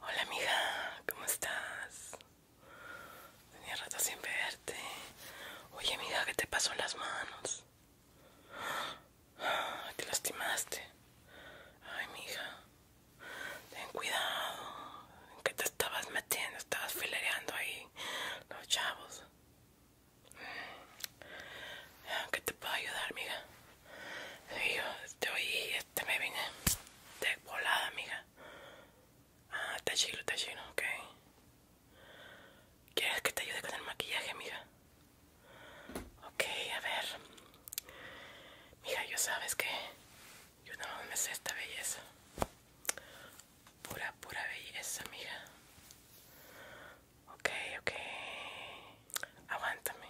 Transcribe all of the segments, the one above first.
Hola amiga, ¿cómo estás? Tenía rato sin verte. Oye amiga, ¿qué te pasó en las manos? Te lastimaste. Ay mija, ten cuidado. ¿En qué te estabas metiendo? Estabas filereando ahí los chavos. ¿Qué te puedo ayudar, amiga? Te yo estoy, este me vine de volada, amiga. Ah, está chido, está chido, ok. ¿Quieres que te ayude con el maquillaje, amiga? Ok, a ver. Mija, yo sabes que yo no me sé esta belleza. Pura, pura belleza, amiga. Ok, ok. Aguántame.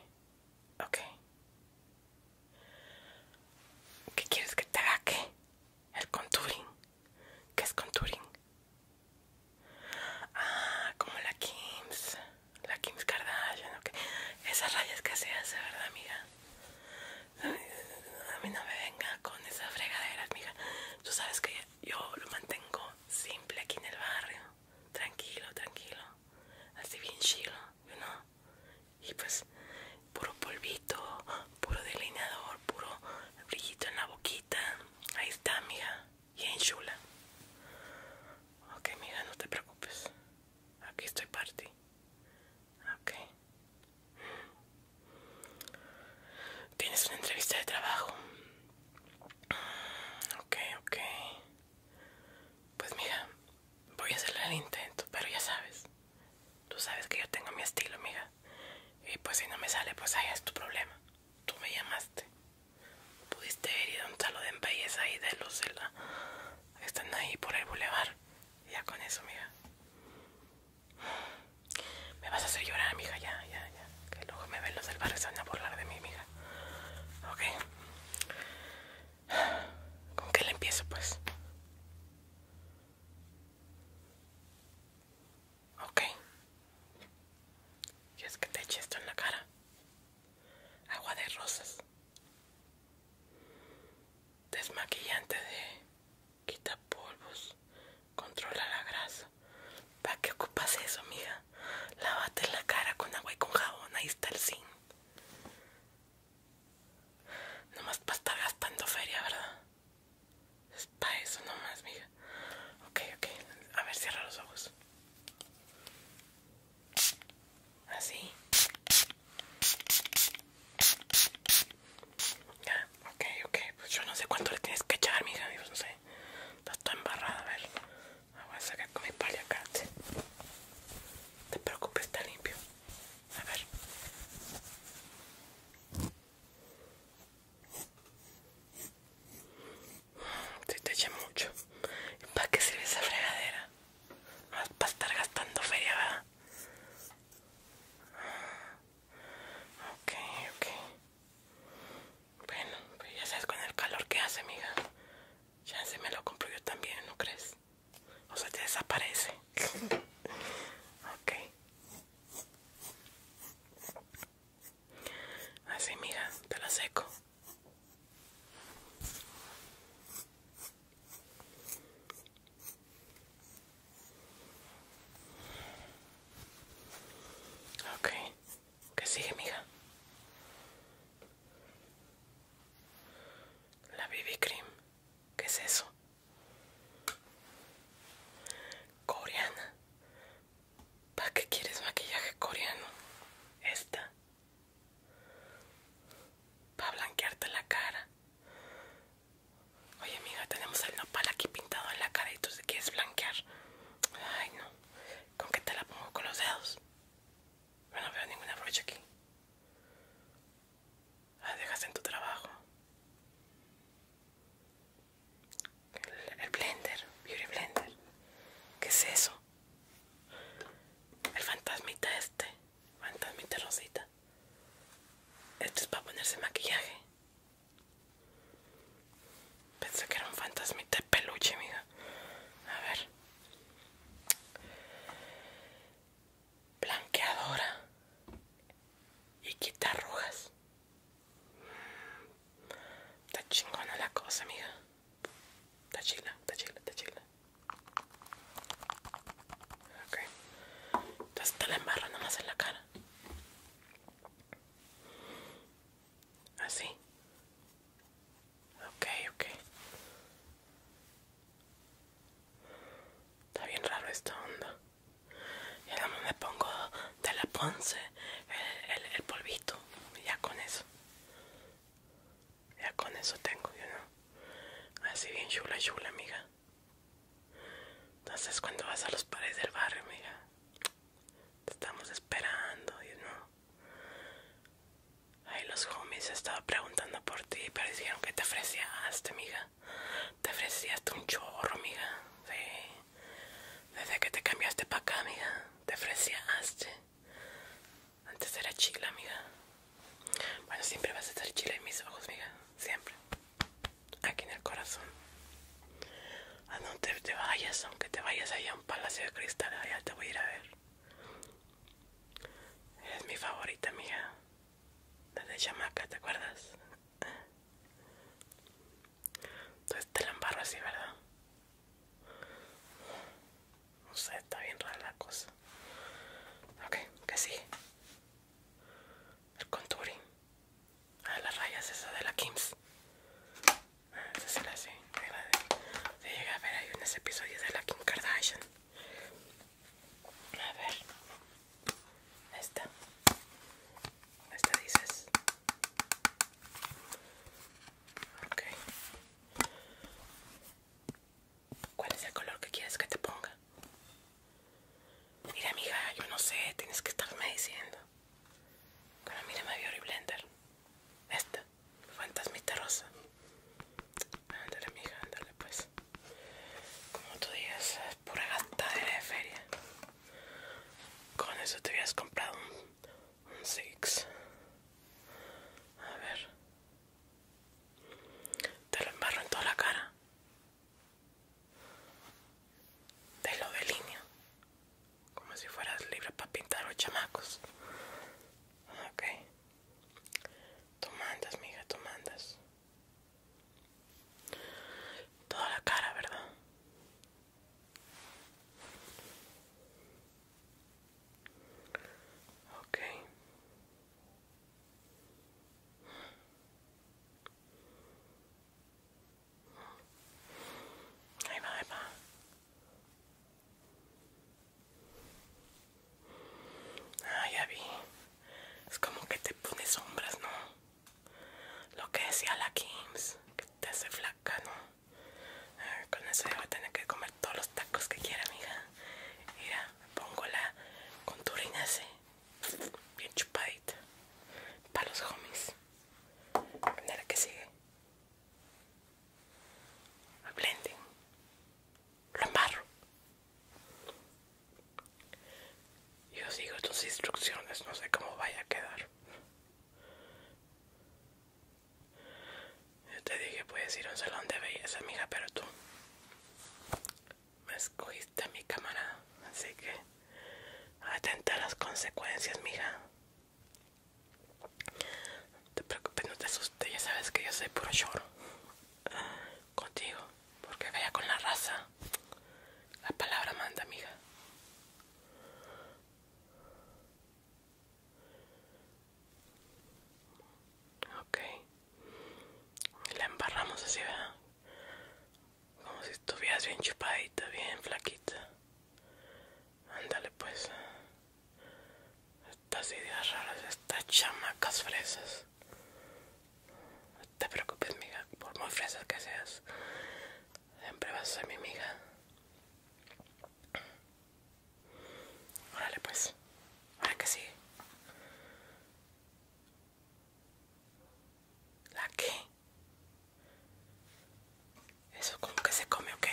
Ok. ¿Qué quieres que te haga? que? El contouring. ¿Qué es contouring? Ah, como la Kims. La Kims Kardashian. Esas rayas que se hace, ¿verdad, amiga? A mí no me venga con esas fregaderas, amiga. Tú sabes que yo lo mantengo simple aquí en el barrio tranquilo, tranquilo, así bien chilo, you know? Y pues, puro polvito, puro delineador, puro brillito en la boquita. Ahí está, mija, bien chula. Ok, mija, no te preocupes. Aquí estoy party. Tienes una entrevista de trabajo. Ok, ok. Pues mira, voy a hacerle el intento, pero ya sabes. Tú sabes que yo tengo mi estilo, mija Y pues si no me sale, pues ahí es tu problema. Tú me llamaste. Pudiste haber ido a un salón de belleza ahí de Lucela, Están ahí por el bulevar. Ya con eso, mija Me vas a hacer llorar, mija, Ya, ya, ya. Que luego me ven los del barrio se van a burlar de mi mija. Ok. ¿Con qué le empiezo, pues? Ok. es que te eché esto en la cara? Agua de rosas. Desmaquillante de quita polvos. Controla la grasa. ¿Para qué ocupas eso, mija? Lávate la cara con agua y con jabón, ahí está el zinc. Nomás para estar gastando feria, ¿verdad? Es para eso nomás, mija Ok, ok. A ver, cierra los ojos. Así. Ya, ok, ok. Pues yo no sé cuánto le tienes que echar, mija. Dios, no sé. Estás toda embarrada, a ver. Ah, voy a sacar con mi paliacate. No te preocupes, está limpio. A ver. te eché mucho. ¿Para qué sirve esa fregadera? Ah, para estar gastando feria, ¿verdad? Ok, ok. Bueno, pues ya sabes con el calor que hace, amiga. Ya se me lo compro yo también, ¿no crees? O sea, te desaparece. ok. Así, mira, te lo seco. Ok. ¿Qué sigue, mija? La BB Cream. ¿Qué es eso? Coreana. ¿Para qué quieres maquillaje coreano? Esta. Para blanquearte la cara. Oye, amiga, tenemos el nopal aquí pintado en la cara y tú se quieres blanquear. Ay, no. ¿Con qué te la pongo? ¿Con los dedos? Yo no veo ninguna brocha aquí. Ah, dejas en tu trabajo. el blender, beauty blender. ¿Qué es eso? El fantasmita este, fantasmita rosita. Esto es para ponerse maquillaje. Pensé que era un fantasmita de peluche, amiga A ver. Blanqueadora. Y quita arrugas. Está chingona la cosa, amiga. Está chila, está chila, está chila. Ok. Entonces la embarra nomás en la cara. Así. Ok, ok. Está bien raro esta onda. Y ahora me pongo de la ponce el, el, polvito. ya con eso. Ya con eso tengo, yo no. Así bien chula, chula, amiga. Entonces cuando vas a los paredes del barrio, amiga. Te estamos esperando, you know. Ay, los homies estaban preguntando por ti, pero dijeron que te ofrecíaste, amiga. Te ofrecías un chorro, amiga. Desde que te cambiaste para acá, amiga. Te ofrecíaste. Antes era chila, amiga. Bueno, siempre vas a estar chila en mis ojos, amiga. Siempre. Aquí en el corazón a no te, vayas, aunque te vayas allá a un palacio de cristal, allá te voy a ir a ver. es mi favorita, mija. La de chamaca, ¿te acuerdas? Entonces te la así, ¿verdad? No sé, está bien rara la cosa. Ok, que sí El contouring. Ah, las rayas esa de la Kims. Ah, sé si la de... Se llega a ver, ahí unos episodios de la Kim Kardashian. A ver, esta, esta dices. Ok. ¿Cuál es el color que quieres que te ponga? Mira, amiga, yo no sé, tienes que estarme diciendo. Pero mira, me dio Blender. Esta fantasmita rosa. Ándale, mija, ándale, pues. Como tú dices, es pura gata de feria. Con eso te habías comprado un, Six. A ver. Te lo embarro en toda la cara. Te lo como si fueras libre para pintar los chamacos. Ok. Tú mandas, mija, tú mandas. Toda la cara, ¿verdad? okay, ahí va. Ah, ya vi. Es como que te pones sombras, ¿no? Lo que decía la Kims, que te hace flaca, ¿no? con eso ya voy a tener que comer todos los tacos que quiera, amiga. Mira, pongo la conturina así, bien chupadita, para los homies. que sigue blending, lo embarro. Yo sigo tus instrucciones, no sé cómo vaya a quedar. Yo te dije, puedes ir a un salón de belleza, mija, pero tú me escogiste a mi cámara, así que atenta a las consecuencias, mija. No te preocupes, no te asustes, ya sabes que yo soy puro lloro contigo, porque vaya con la raza. La palabra manda, amiga. Ok. La embarramos así, ¿verdad? Como si estuvieras bien chupadita, bien flaquita. Ándale pues. Estas ideas raras, estas chamacas fresas. No te preocupes, mija, por más fresas que seas. Siempre vas a ser mi amiga. Órale pues. Ahora que sigue. ¿La qué? ¿Eso como que se come o qué?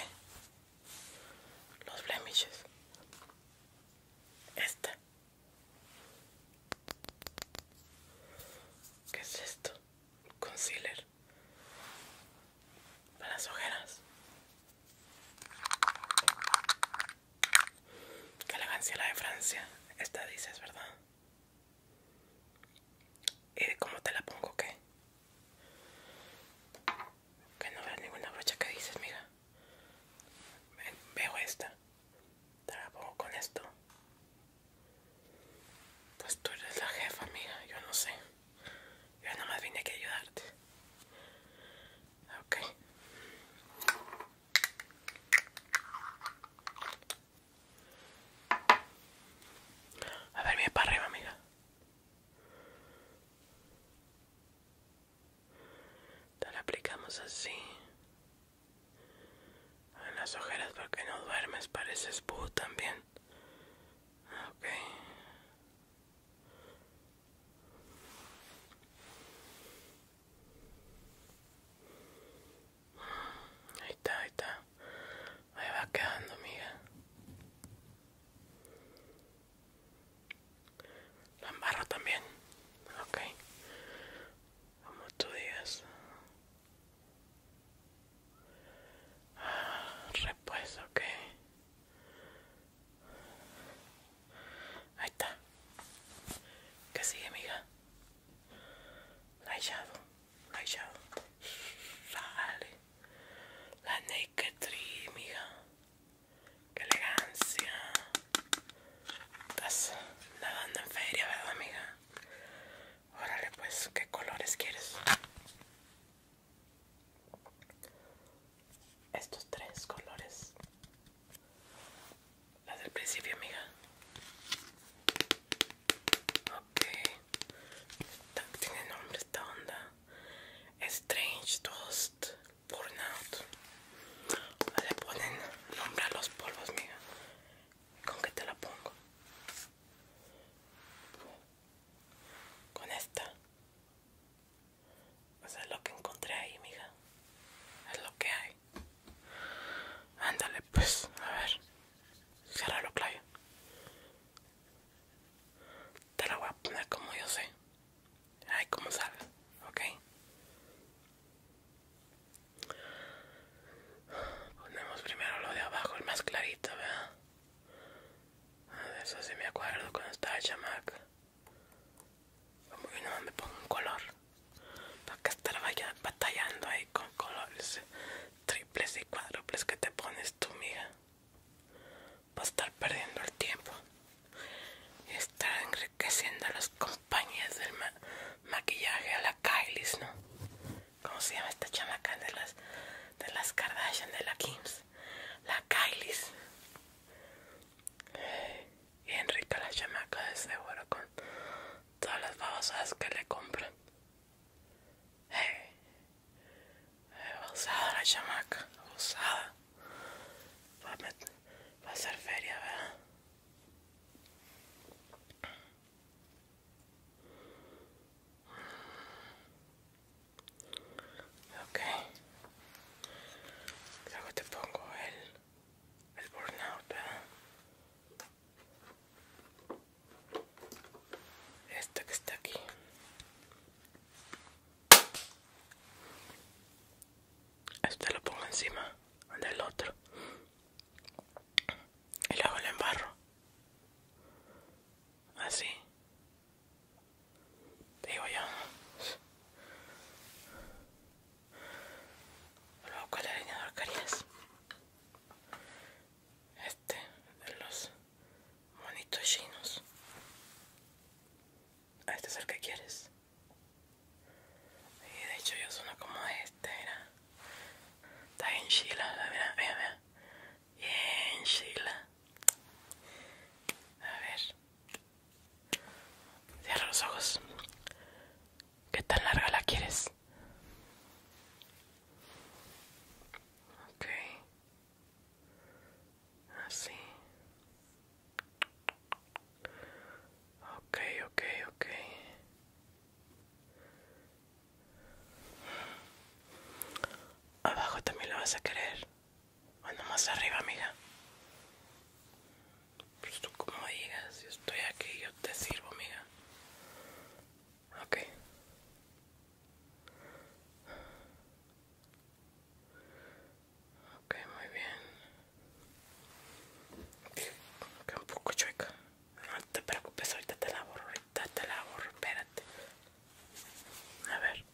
Los blemishes. Esta. ¿Qué es esto? Concealer. Para las ojeras. Que elegancia la de Francia. Esta dices, ¿verdad? ¿Y cómo te la pongo? ¿Qué? Que no veas ninguna brocha que dices, mira. Veo esta. Te la pongo con esto. Pues tú eres la jefa, amiga. Yo no sé. Yo nada más vine aquí a ayudarte. Ok. A ver, mi para arriba, amiga la aplicamos así en las ojeras porque no duermes, pareces spu también. Ok. Ahí está, ahí está. Ahí va quedando, amiga. La también. Ok. Como tú digas. Ah, repuesto, ok. Ahí está. Que sigue, amiga? Rayado, shadow Sale. La Naked Tree, mija. Qué elegancia. Estás nadando en feria, ¿verdad, amiga? Órale, pues, ¿qué colores quieres? Estos tres colores. Las del principio, amiga. Ok. Tiene nombre esta onda. Strange Toast Burnout. Ah, le ponen nombre a los polvos, mija? ¿Con qué te la pongo? Con esta. O es lo que encontré ahí, mija. Es lo que hay. Ándale, pues, a ver. Cierra lo, Claudio. Te la voy a poner como yo sé. Ay, como sabes, ok. Ponemos primero lo de abajo, el más clarito, ¿verdad? Ah, de eso sí me acuerdo cuando estaba chamaca. Como que no me pongo un color. Para que vaya batallando ahí con colores triples y cuádruples que te pones tú, mija va a estar perdiendo el tiempo y estar enriqueciendo a las compañías del maquillaje a la Kylie, ¿no? ¿Cómo se llama esta chamaca de las, de las Kardashian, de la Kims? La Kylie. Y Enrique la chamaca de seguro con todas las babosadas que le compran. Hey. Abusada la chamaca, Va a, ser feria, ¿verdad? Ok. Luego te pongo el, el burnout, ¿verdad? Esta que está aquí. Este lo pongo encima del otro y luego lo embarro así digo a luego con línea de caries este de los monitos chinos. Este es el que quieres. Y de hecho yo sueno como este, mira. Está en Sheila, mira, mira, Bien Sheila. A ver. Cierra los ojos. ¿Qué tan larga la quieres? Ok. Así. Ok, ok, ok. Abajo también lo vas a querer. Bueno, más arriba, amiga. Pues tú como digas, yo estoy aquí, yo te sirvo, amiga. Ok. Ok, muy bien. Queda un poco chueca. No te preocupes, ahorita te la borro, ahorita te la borro, espérate. A ver.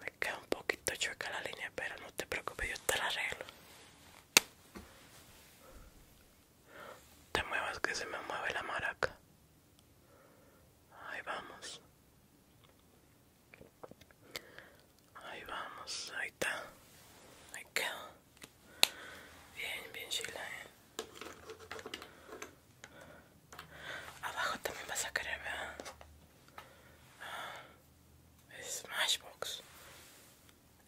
Me queda un poquito chueca la línea, pero no te preocupes, yo te la arreglo. Te muevas que se me mueve la maraca. Ahí vamos. Ahí vamos, ahí está. Ahí queda. Bien, bien, Sheila. ¿eh? Abajo también vas a querer, ver a ah, Smashbox.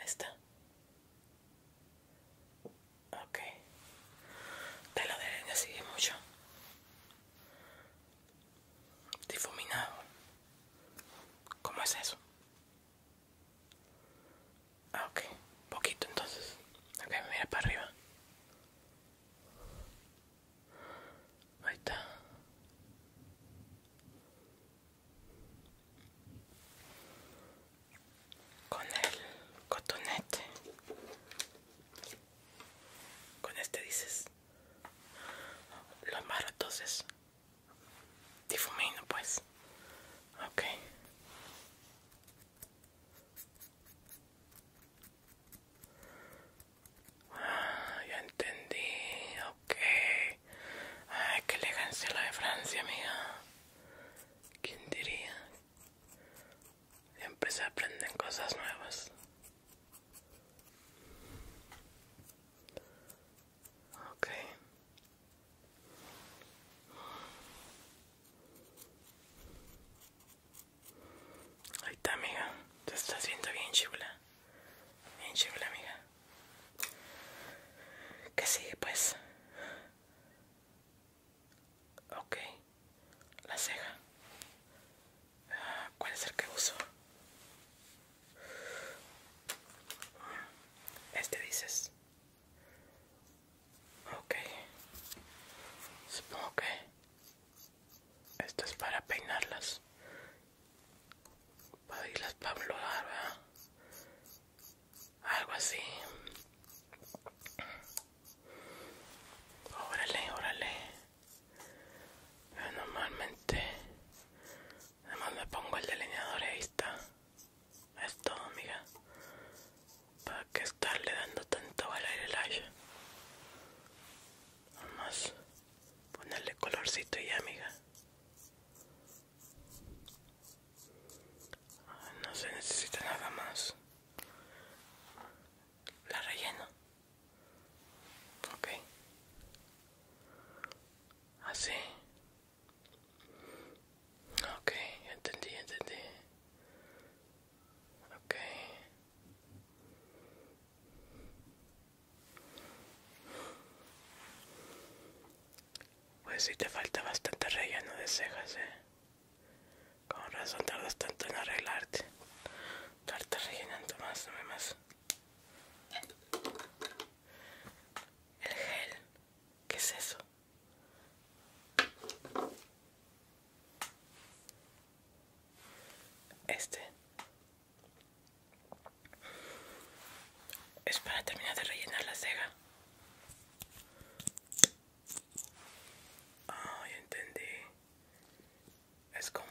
Está. Ok. Te lo deben así mucho. Difuminado. ¿Cómo es eso? Ah, ok. Poquito entonces. Ok, mira para arriba. Ahí está. Con el cotonete con este dices. Lo amarro entonces. Difumino pues. Ok. Ah, ya entendí. Ok. Ay, qué elegancia la de Francia, amiga. ¿Quién diría? Siempre a aprenden cosas nuevas. Okay. Ahí está, amiga. Te estás viendo bien chula. Bien chula, amiga. Que sigue, pues? Okay, la ceja. ¿Cuál es el que uso? Este dices. Okay. supongo que esto es para peinarlas, para irlas para ¿verdad? algo así. Órale, órale. normalmente además me pongo el delineador y ahí está. Es todo, amiga. ¿Para qué estarle dando tanto al aire Nomás ponerle colorcito y ya, amiga. No se necesita nada más la relleno. okay, Así. okay, entendí, entendí. okay, Pues sí te falta bastante relleno de cejas, eh. Con razón tardas tanto en arreglarte. Tardas rellenando más, no más. El gel, ¿qué es eso? Este es para terminar de rellenar la cega. Ah, ya entendí. Es como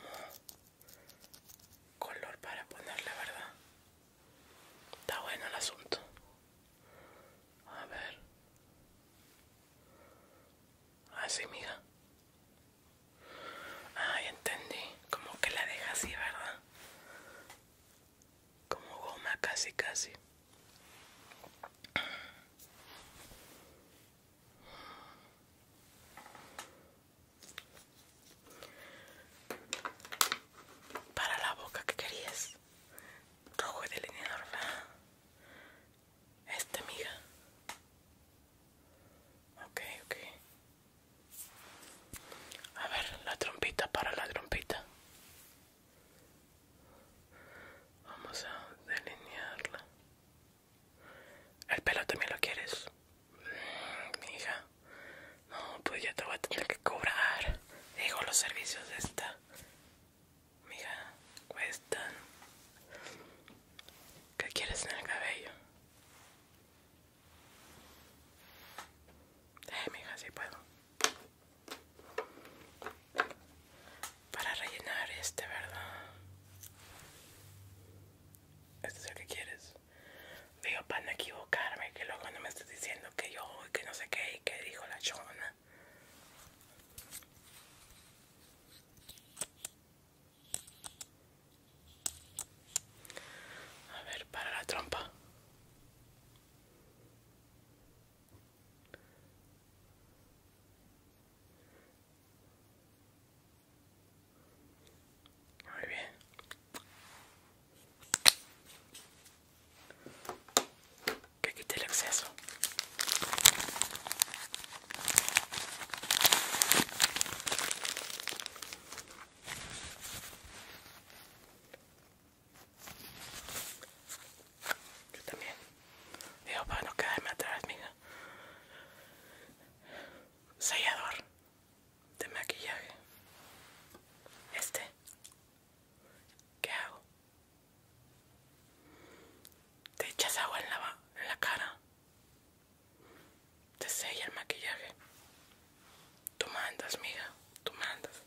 color para ponerle, ¿verdad? Está bueno el asunto. A ver. Así, ah, mija. Ah, ya entendí. Como que la deja así, ¿verdad? Como goma, casi, casi. Para la boca que querías. Rojo y delineador, Este, amiga. Ok, ok. A ver, la trompita para la trompita. Vamos a delinearla. El pelo también lo quieres. Mi No, pues ya te voy a tener que cobrar. Digo, los servicios de esta. Mija, cuestan. ¿Qué quieres en el cabello? Eh, mija, sí puedo para rellenar este, ¿verdad? Este es el que quieres. Digo, para no equivocarme, que luego no me estés diciendo que yo, que no sé qué, y que dijo la chona. A ver, para la trompa. Muy bien. Que quite el exceso. Yo también. Digo, para no quedarme atrás, mija. Sellador de maquillaje. Este. ¿Qué hago? Te echas agua en la, cara. Te sella el maquillaje. Tú mandas, mija. Tú mandas.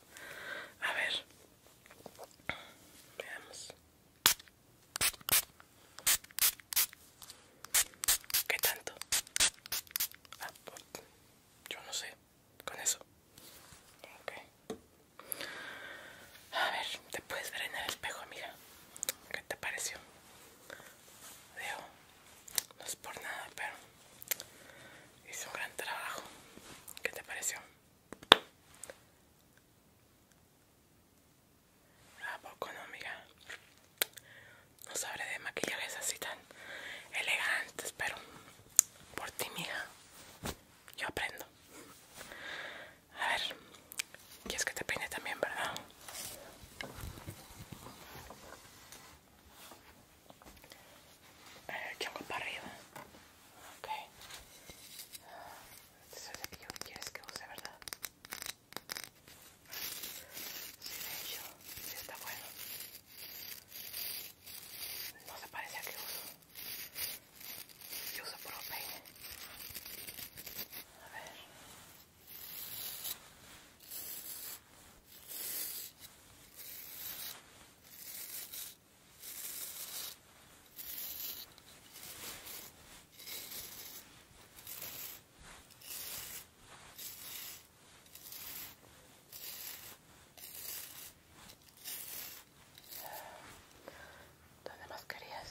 A ver. Veamos. ¿Qué tanto? Ah, yo no sé. Con eso. A ver, te puedes ver en el espejo, mira. ¿Qué te pareció? Digo, no es por nada, pero hice un gran trabajo. ¿Qué te pareció? ¿A poco no, No sabré de maquillajes así tan elegantes, pero por ti, mija, yo aprendo. A ver, es que te peine también, ¿verdad? El chongo para arriba. Ok. Este es el que yo quieres que use, ¿verdad? Sí, de hecho, sí está bueno. No se parece a que uso. Yo uso puro peine. A ver. ¿Dónde más querías?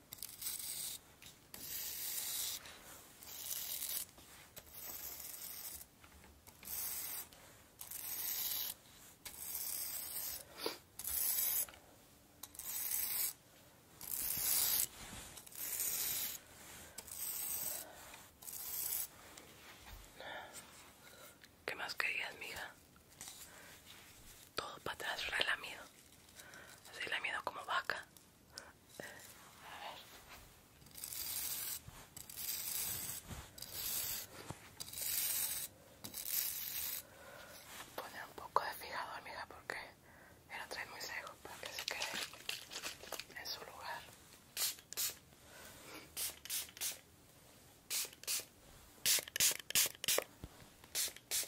¿Qué más querías, mija? Todo para atrás relamido. Así miedo como vaca a poner un poco de fijador amiga, porque el otro es muy seco para que se quede en su lugar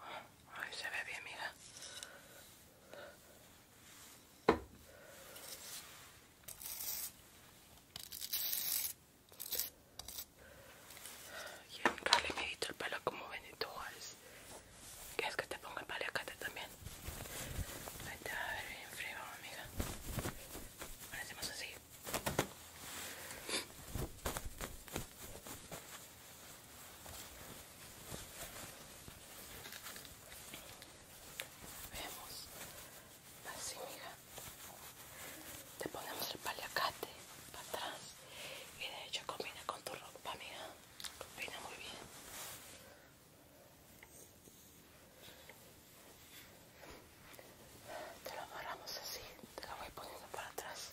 A ver. se ve bien, amiga Y en he medido el pelo como tu Juárez. ¿Quieres que te ponga el paliacate también? Ahí te va a ver bien frío, amiga. hacemos así. Vemos. Así, mija. Te ponemos el paliacate para atrás. Y de hecho combina con tu ropa, mija. Combina muy bien. Te lo amarramos así, te lo voy poniendo para atrás.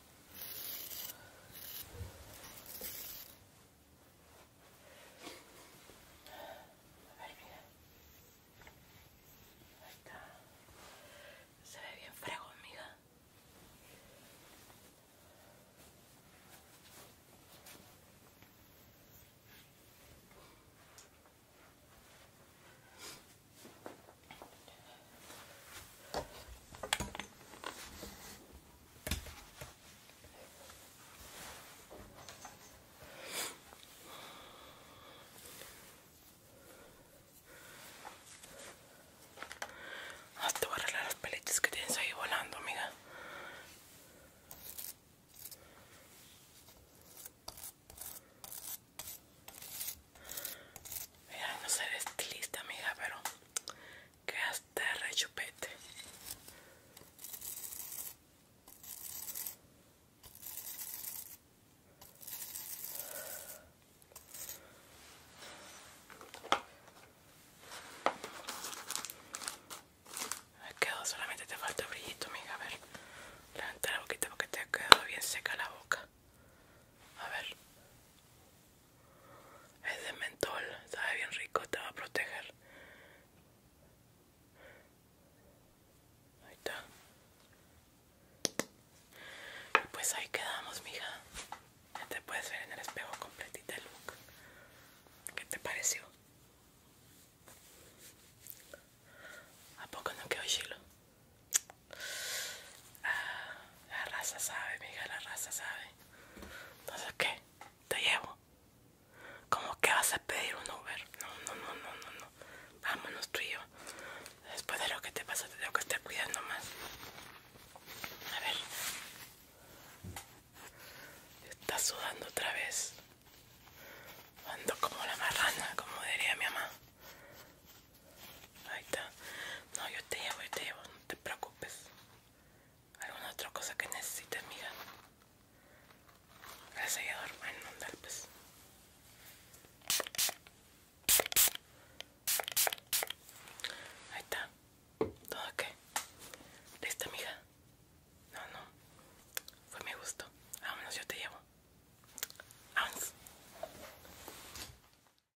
A ver, mira. Ahí está. Se ve bien fregón, amiga. Ah, te voy a arreglar las peletas que tienes ahí volando, amiga. Mira, no eres estilista, amiga, pero Quedaste hasta rechupete. Me quedó, solamente te falta brillito, amiga. A ver, levanta la boquita porque te ha quedado bien seca la boca. A ver. Es de mentol, sabe bien rico, te va a proteger. Ahí está. pues ahí quedamos, mija. Ya te puedes ver en el espejo completita el look. ¿Qué te pareció? ¿A poco no quedó chilo? la raza sabe, mija, la raza sabe. Entonces, ¿qué? Te llevo. ¿Cómo que vas a pedir un Uber? No, no, no, no, no, no. Vámonos tú y yo. Después de lo que te pasa, te tengo que estar cuidando más. A ver. Está sudando otra vez. Ando como la marrana, como diría mi mamá. Ahí está. No, yo te llevo, yo te llevo, no te preocupes. ¿Alguna otra cosa que necesites, mija? El seguidor? bueno, pues. Ahí está. ¿Todo qué? Listo, mija? No, no. Fue mi gusto. Vámonos, yo te llevo. Vámonos.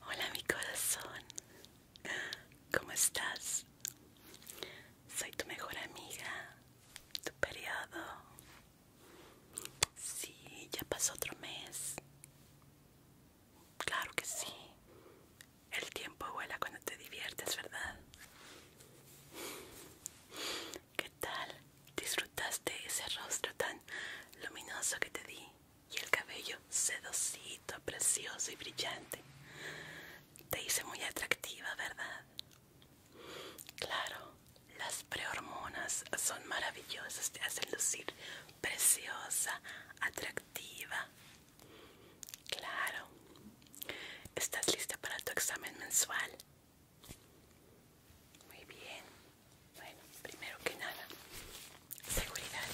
Hola mi corazón, ¿cómo estás? Soy tu mejor amiga, tu periodo. Sí, ya pasó otro mes. Claro que sí. El tiempo vuela cuando te diviertes, ¿verdad? ¿Qué tal? ¿Disfrutaste ese rostro tan luminoso que te di? y el cabello sedosito, precioso y brillante. Te hice muy atractiva, ¿verdad? Claro, las prehormonas son maravillosas, te hacen lucir preciosa, atractiva. Claro. ¿Estás lista para tu examen mensual? Muy bien. Bueno, primero que nada, seguridad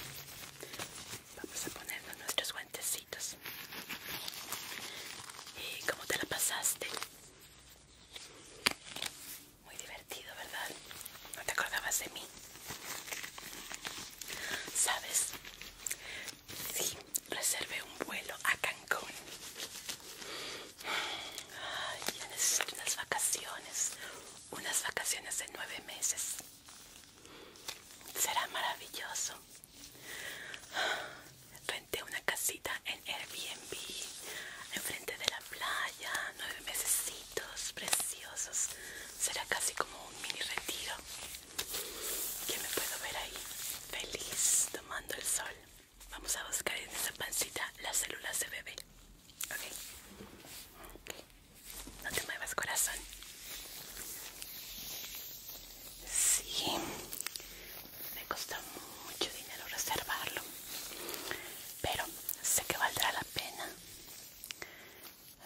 vamos a ponernos nuestros guantecitos y cómo te la pasaste muy divertido verdad no te acordabas de mí sabes sí reservé un vuelo a Cancún necesito unas vacaciones unas vacaciones de nueve meses Será maravilloso. Renté una casita en Airbnb, enfrente de la playa, nueve mesecitos preciosos. Será casi como un mini retiro. Que me puedo ver ahí, feliz, tomando el sol. Vamos a buscar en esa pancita las células de bebé. No te muevas, corazón. Sí, me costó mucho dinero reservarlo, pero sé que valdrá la pena.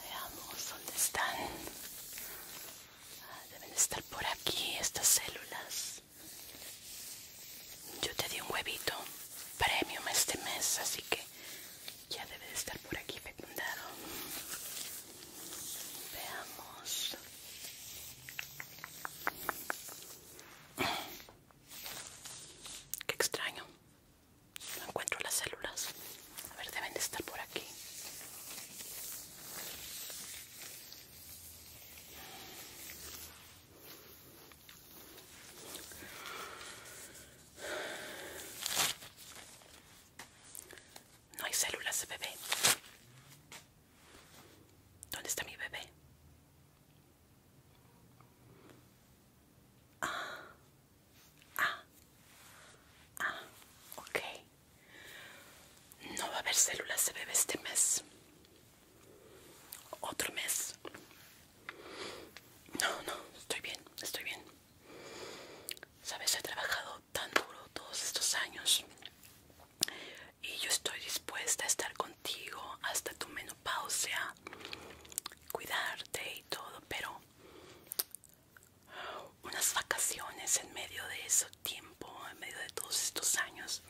Veamos dónde están. Ah, deben estar por aquí estas células. Yo te di un huevito premium este mes, así que ya debe de estar por aquí fecundado. Veamos. Qué extraño. No encuentro las células. A ver, deben de estar por aquí. No hay células, bebé. ¿Dónde está mi bebé? Ah, ah, ah, ok. No va a haber células de bebé este mes. Otro mes. No, no, estoy bien, estoy bien. Sabes, he trabajado tan duro todos estos años y yo estoy dispuesta a estar contigo hasta tu menopausia, cuidarte y todo, pero unas vacaciones en medio de ese tiempo, en medio de todos estos años,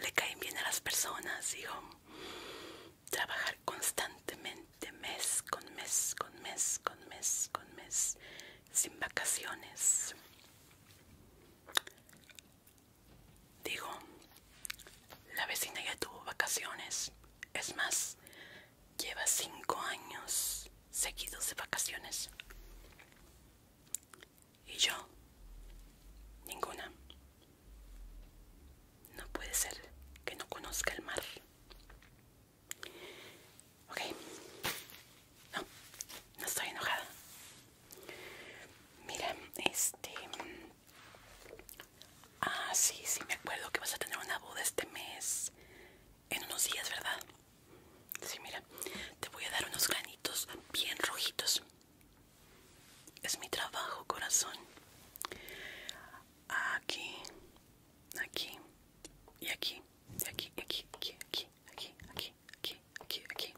le caen bien a las personas, digo trabajar constantemente, mes con mes, con mes, con mes, con mes, sin vacaciones. Digo, la vecina ya tuvo vacaciones. Es más, lleva cinco años seguidos de vacaciones. Y yo, ninguna. No puede ser que no conozca el mar. Ok. No, no estoy enojada. Mira, este... Ah, sí, sí, me acuerdo que vas a tener una boda este mes. En unos días, ¿verdad? Sí, mira. Te voy a dar unos granitos bien rojitos. Es mi trabajo, corazón. Aquí, aquí y aquí aquí aquí aquí aquí aquí aquí aquí aquí aquí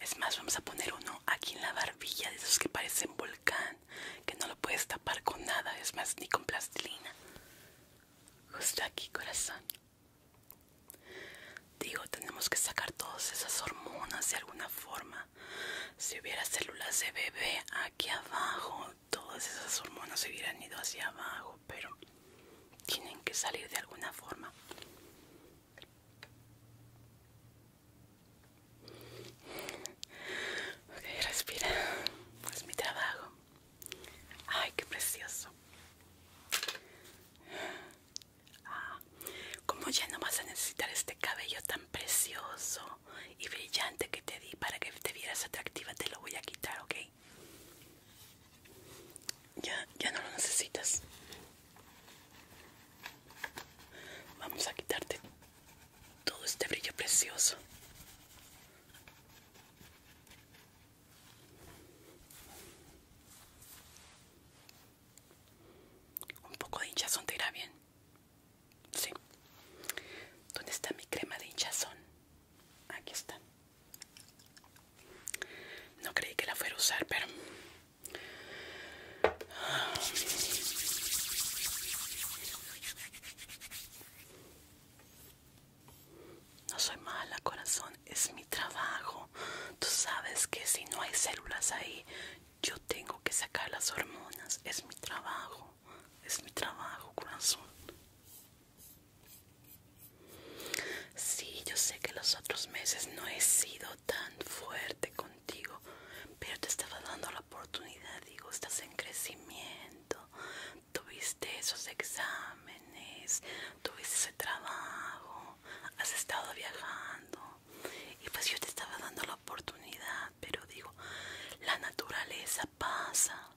es más vamos a poner uno aquí en la barbilla de esos que parecen volcán que no lo puedes tapar con nada es más ni con plastilina justo aquí corazón digo tenemos que sacar todas esas hormonas de alguna forma si hubiera células de bebé aquí abajo todas esas hormonas se hubieran ido hacia abajo pero tienen que salir de alguna forma ok respira es pues mi trabajo ay qué precioso ah, ¿Cómo ya no vas a necesitar este cabello tan precioso y brillante que te di para que te vieras atractiva te lo voy a quitar, ¿ok? Ya, ya no lo necesitas. Vamos a quitarte todo este brillo precioso. Un poco de hinchazón te irá bien. Sí. ¿Dónde está mi crema de hinchazón? Aquí está. No creí que la fuera a usar, pero... No soy mala, corazón. Es mi trabajo. Tú sabes que si no hay células ahí, yo tengo que sacar las hormonas. Es mi trabajo es mi trabajo, corazón. Sí, yo sé que los otros meses no he sido tan fuerte contigo, pero te estaba dando la oportunidad, digo, estás en crecimiento, tuviste esos exámenes, tuviste ese trabajo, has estado viajando y pues yo te estaba dando la oportunidad, pero digo, la naturaleza pasa.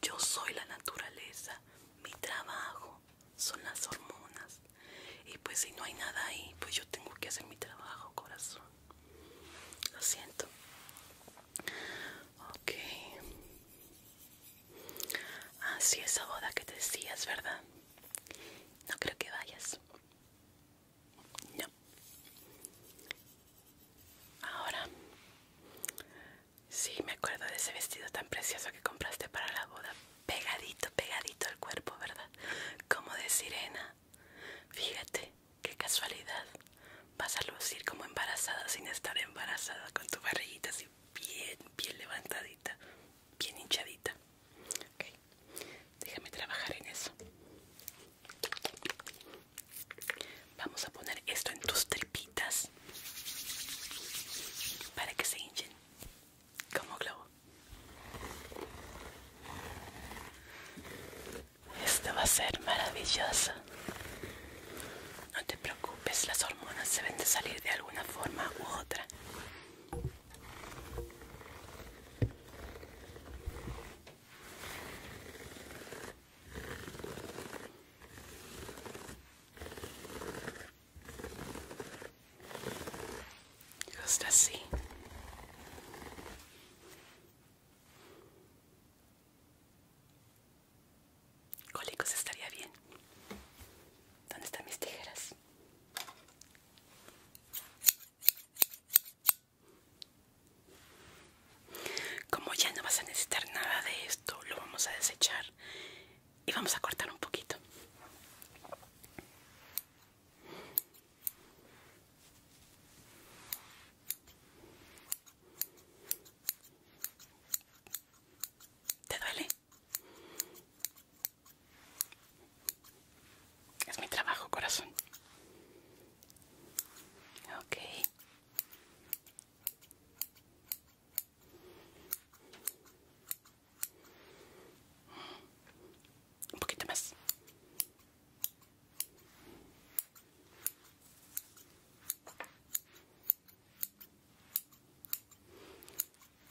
Yo soy la naturaleza, mi trabajo son las hormonas. Y pues si no hay nada ahí, pues yo tengo que hacer mi trabajo, corazón. Lo siento. Ok. Así esa boda que te decías, ¿verdad? No creo que vayas. No. Ahora, sí me acuerdo de ese vestido tan precioso que compraste para la boda. Pegadito, pegadito al cuerpo, ¿verdad? Como de sirena. Fíjate, qué casualidad. Vas a lucir como embarazada sin estar embarazada, con tu barriguita así bien, bien levantadita, bien hinchadita. Ok, déjame trabajar en eso. Vamos a poner esto en tus tripitas para que se hinchen como globo. Esto va a ser maravilloso. No te preocupes, las hormonas se ven de salir de alguna forma u otra. Justo así. Cólicos estaría bien. ¿Dónde están mis tijeras? Como ya no vas a necesitar nada de esto, lo vamos a desechar y vamos a cortar un poquito. ¿Te duele? Es mi trabajo, corazón. Okay. Un poquito más.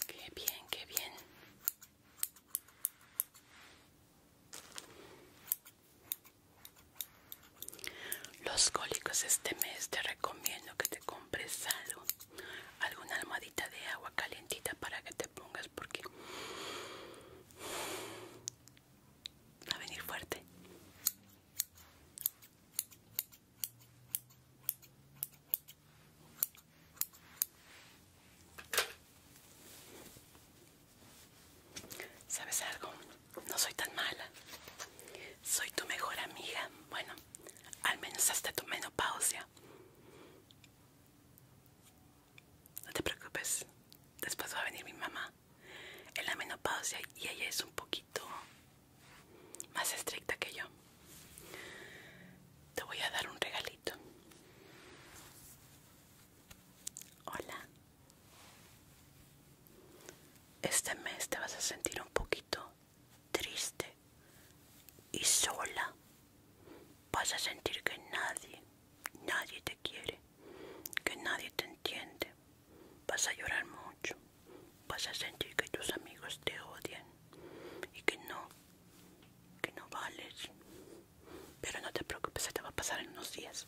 Qué bien, qué bien. Los cólicos este mes te recomiendo que te compres algo, alguna almohadita de agua calentita para que te pongas porque va a venir fuerte. ¿Sabes algo? No soy tan mala. Soy tu mejor amiga. Bueno, al menos hasta tu menopausia. No te preocupes. Después va a venir mi mamá en la menopausia y ella es un poquito más estricta que yo. Te voy a dar un regalito. Hola. Este mes te vas a sentir un poquito triste y sola. Vas a sentir que nadie, nadie te quiere, que nadie te entiende. Vas a llorar mucho. Vas a sentir que tus amigos te odian y que no, que no vales. Pero no te preocupes, se te va a pasar en unos días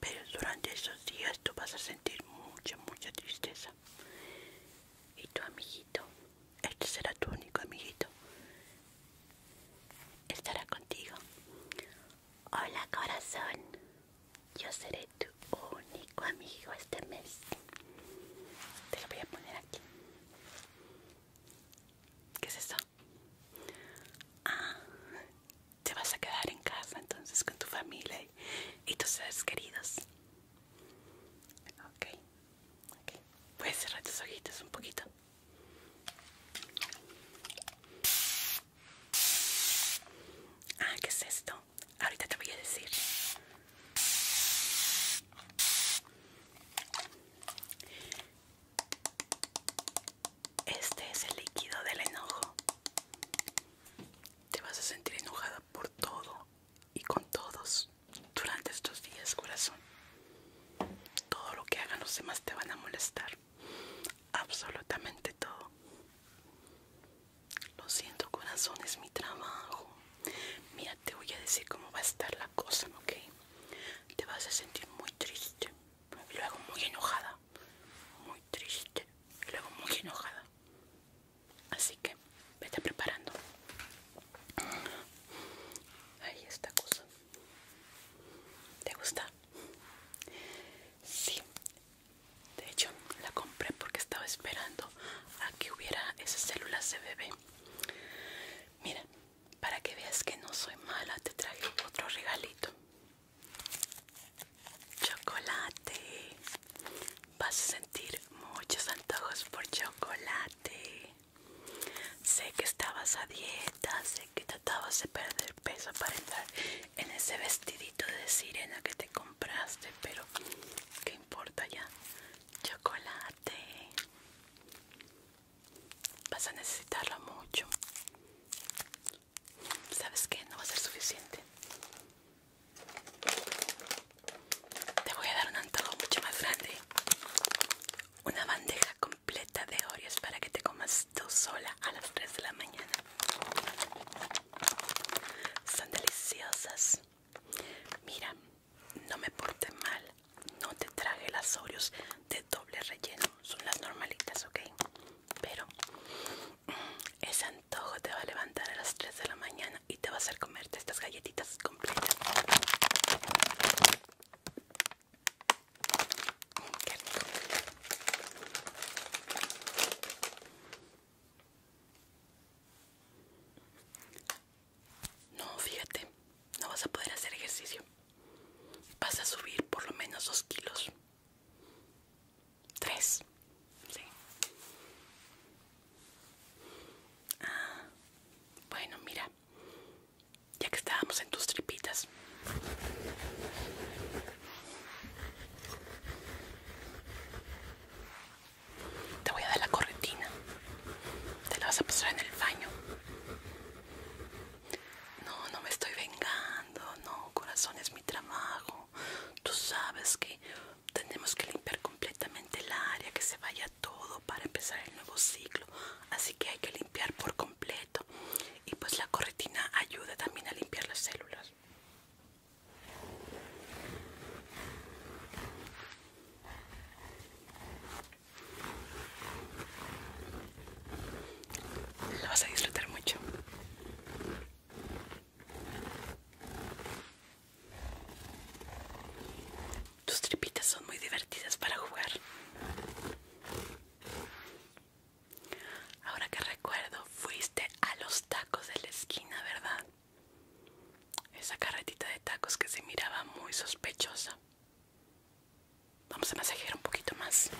pero durante esos días tú vas a sentir mucha, mucha tristeza. Y tu amiguito, este será tu único amiguito, estará contigo. Hola corazón, yo seré tu único amigo este mes. Te lo voy a poner aquí. ¿Qué es eso? Ah, te vas a quedar en casa entonces con tu familia y, tus seres queridos. Ok, ok. Puedes cerrar tus ojitos un poquito. Ah, ¿qué es esto? Ahorita te voy a decir. Este es el líquido del enojo. Te vas a sentir enojada por todo y con todos durante estos días, corazón. Todo lo que hagan los demás te van a molestar. Absolutamente todo. Lo siento, corazón, es mi trabajo. Mira, te voy a decir cómo va a estar la cosa, ¿ok? Te vas a sentir muy triste, luego muy enojada, muy triste y luego muy enojada. Así que vete preparando. Ahí está cosa. ¿Te gusta? Sí. De hecho, la compré porque estaba esperando a que hubiera esas células de bebé. Mira, para que veas que no soy mala, te traje otro regalito chocolate. Vas a sentir muchos antojos por chocolate. Sé que estabas a dieta, sé que tratabas de perder peso para entrar en ese vestidito de sirena que te compraste, pero ¿qué importa ya? Chocolate. Vas a necesitarlo mucho. ¿Sabes que No va a ser suficiente. Te voy a dar un antojo mucho más grande. Una bandeja completa de Oreos para que te comas tú sola a las 3 de la mañana. Son deliciosas. Mira, no me porte mal. No te traje las Oreos de doble relleno. Son las normalitas, ¿ok? pero ese antojo te va a levantar a las 3 de la mañana y te va a hacer comerte estas galletitas completas. No, fíjate, no vas a poder hacer ejercicio. Vas a subir por lo menos 2 kilos. Tres. Sí. Ah, bueno, mira. Ya que estábamos en tus tripitas. Te voy a dar la corretina. Te la vas a pasar en el baño. No, no me estoy vengando, no, corazón es mi trabajo. Tú sabes que tenemos que limpiar completamente el área, que se vaya todo para empezar el nuevo ciclo. Así que hay que limpiar por completo. Y pues la corretina ayuda también a limpiar las células lo vas a disfrutar mucho. Tus tripitas son muy divertidas para jugar. Ahora que recuerdo, fuiste a los tacos de la esquina, ¿verdad? Esa carretita de tacos que se miraba muy sospechosa. Vamos a masajear un poquito más.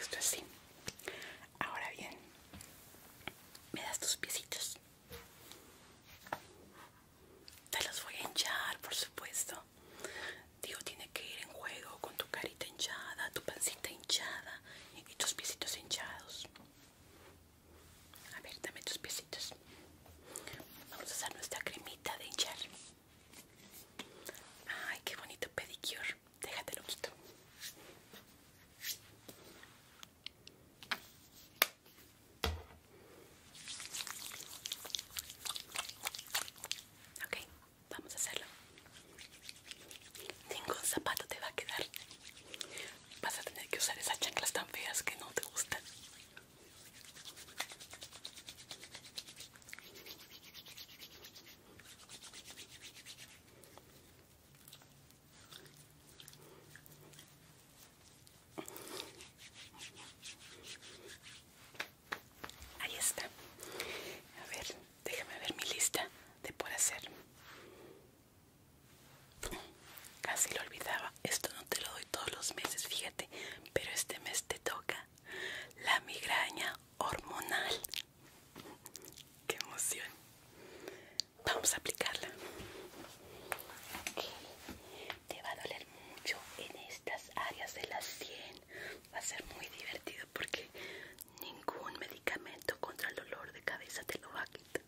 Esto así. Ahora bien, me das tus piecitos. Te los voy a hinchar, por supuesto. Digo, tiene que ir en juego con tu carita hinchada, tu pancita hinchada y, tus piecitos hinchados. A ver, dame tus piecitos. Vamos a usar nuestra cremita de hinchar. Ay, qué bonito pedicure. Déjatelo quito. Ok, Vamos a hacerlo. Ningún zapato te va a quedar. Vas a tener que usar esas chanclas tan feas que no te gustan. Ahí está. A ver, déjame ver mi lista de por hacer. Casi lo olvidaba. Esto no te lo doy todos los meses, fíjate. Pero este mes te toca la migraña hormonal. ¡Qué emoción! Vamos a aplicarla. Te va a doler mucho en estas áreas de la sien va a ser muy divertido porque ningún medicamento contra el dolor de cabeza te lo va a quitar.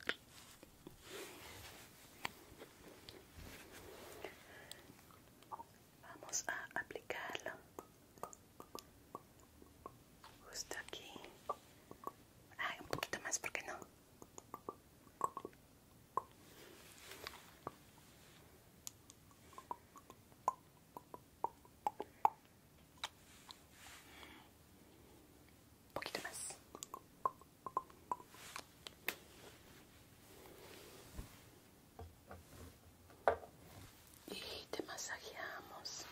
Vamos a aplicarlo justo aquí. Ay, un poquito más, ¿por qué no? Un poquito más. Y te masajeamos.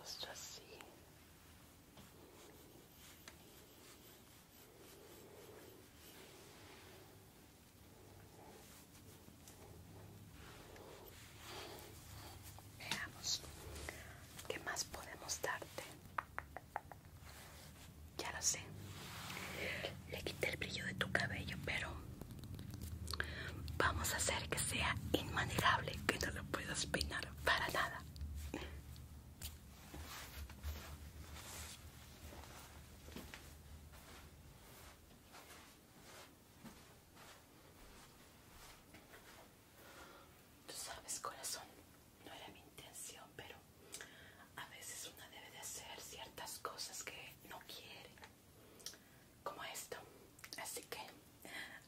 Justo así. Veamos qué más podemos darte. Ya lo sé. Le quité el brillo de tu cabello, pero vamos a hacer que sea inmanejable, que no lo puedas peinar para nada. Tú sabes, corazón, no era mi intención, pero a veces una debe de hacer ciertas cosas que no quiere, como esto. Así que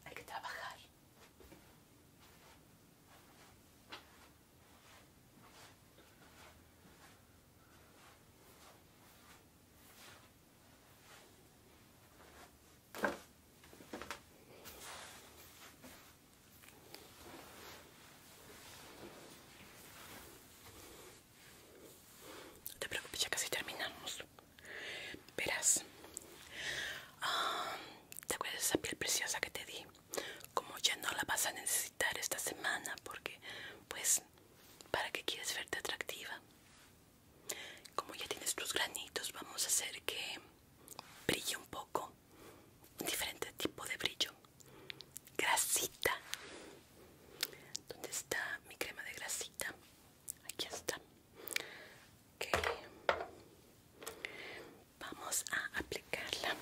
hay que trabajar. No te preocupes, ya casi terminamos. Verás, ah, ¿te acuerdas de esa piel preciosa que te di? como ya no la vas a necesitar esta semana porque pues para que quieres verte atractiva como ya tienes tus granitos vamos a hacer que brille un poco un diferente tipo de brillo grasita ¿Dónde está mi crema de grasita? Aquí está. Okay vamos a aplicarla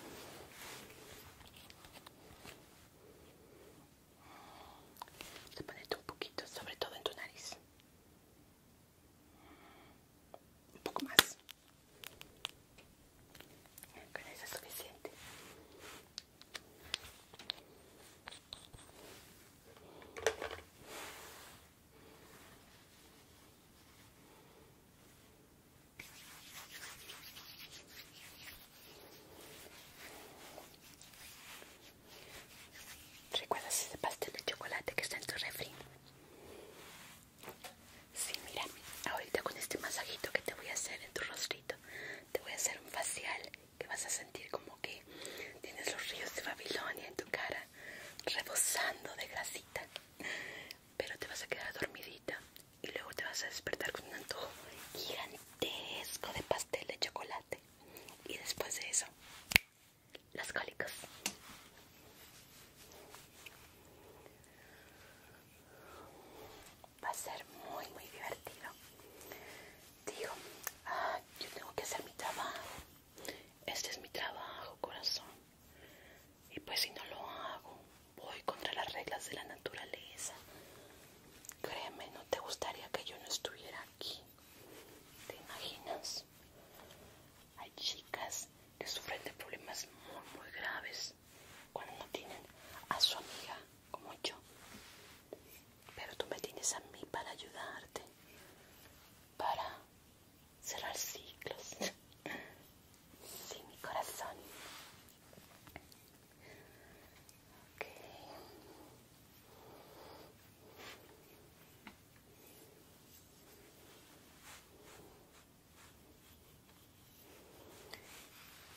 un poquito sobre todo en tu nariz un poco más con eso es suficiente ¿Recuerdas ese pastel de chocolate que está en tu refri? Sí, mira, ahorita con este masajito que te voy a hacer en tu rostrito, te voy a hacer un facial que vas a sentir como que tienes los ríos de Babilonia en tu cara, rebosando de grasita, pero te vas a quedar dormidita, y luego te vas a despertar con un antojo gigantesco de pastel de chocolate y después de eso las cólicas va a ser muy muy divertido digo ah, yo tengo que hacer mi trabajo este es mi trabajo corazón y pues si no lo hago voy contra las reglas de la naturaleza créeme no te gustaría que yo no estuviera aquí te imaginas hay chicas que sufren de problemas muy muy graves cuando no tienen a su amiga como yo pero tú me tienes a mí para ayudarte para cerrar ciclos Sí, mi corazón.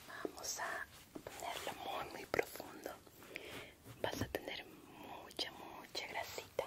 Vamos a ponerlo muy, muy profundo. Vas a tener mucha, mucha grasita.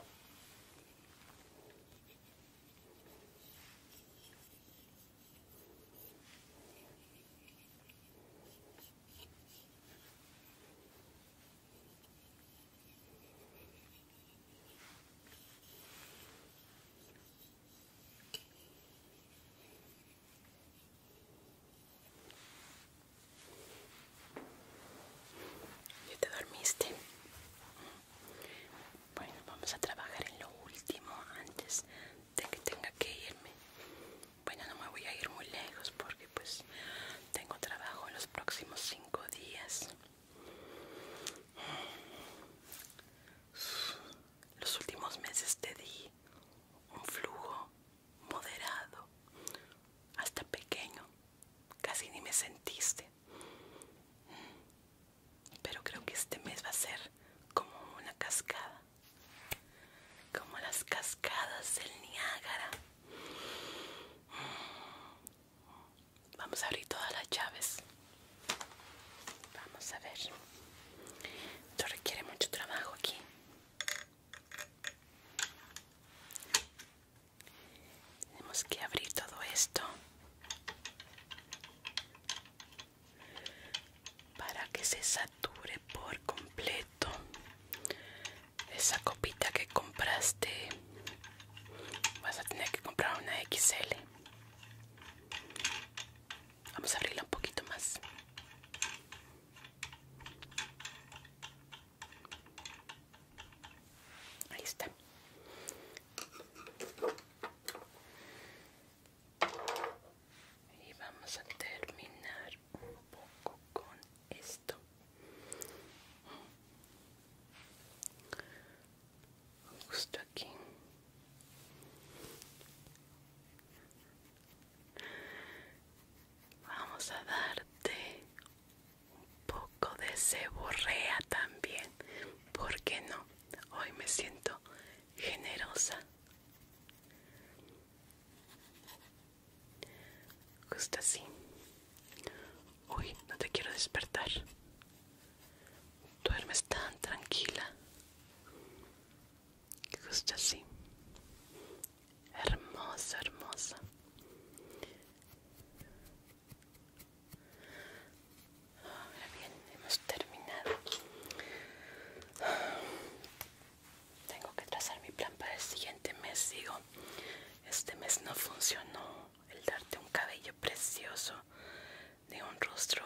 Ya te dormiste. Bueno, vamos a trabajar en lo último antes de que tenga que irme. Bueno, no me voy a ir muy lejos porque pues tengo trabajo en los próximos cinco días. Los últimos meses te di un flujo moderado, hasta pequeño, casi ni me sentiste pero creo que este mes va a ser como una cascada como las cascadas del Niágara vamos a abrir todas las llaves vamos a ver esto requiere mucho trabajo aquí tenemos que abrir todo esto para que se sature por completo esa copita que compraste vas a tener que comprar una XL vamos a abrirla un poquito más ahí está y vamos a terminar un poco con esto justo aquí vamos a darte un poco de ceborrea también porque no hoy me siento generosa. Justo así. Hoy no te quiero despertar. Duermes tan tranquila. Justo así. Hermosa, hermosa. Ahora bien, hemos terminado. Tengo que trazar mi plan para el siguiente mes, digo. Este mes no funcionó el darte un cabello precioso de un rostro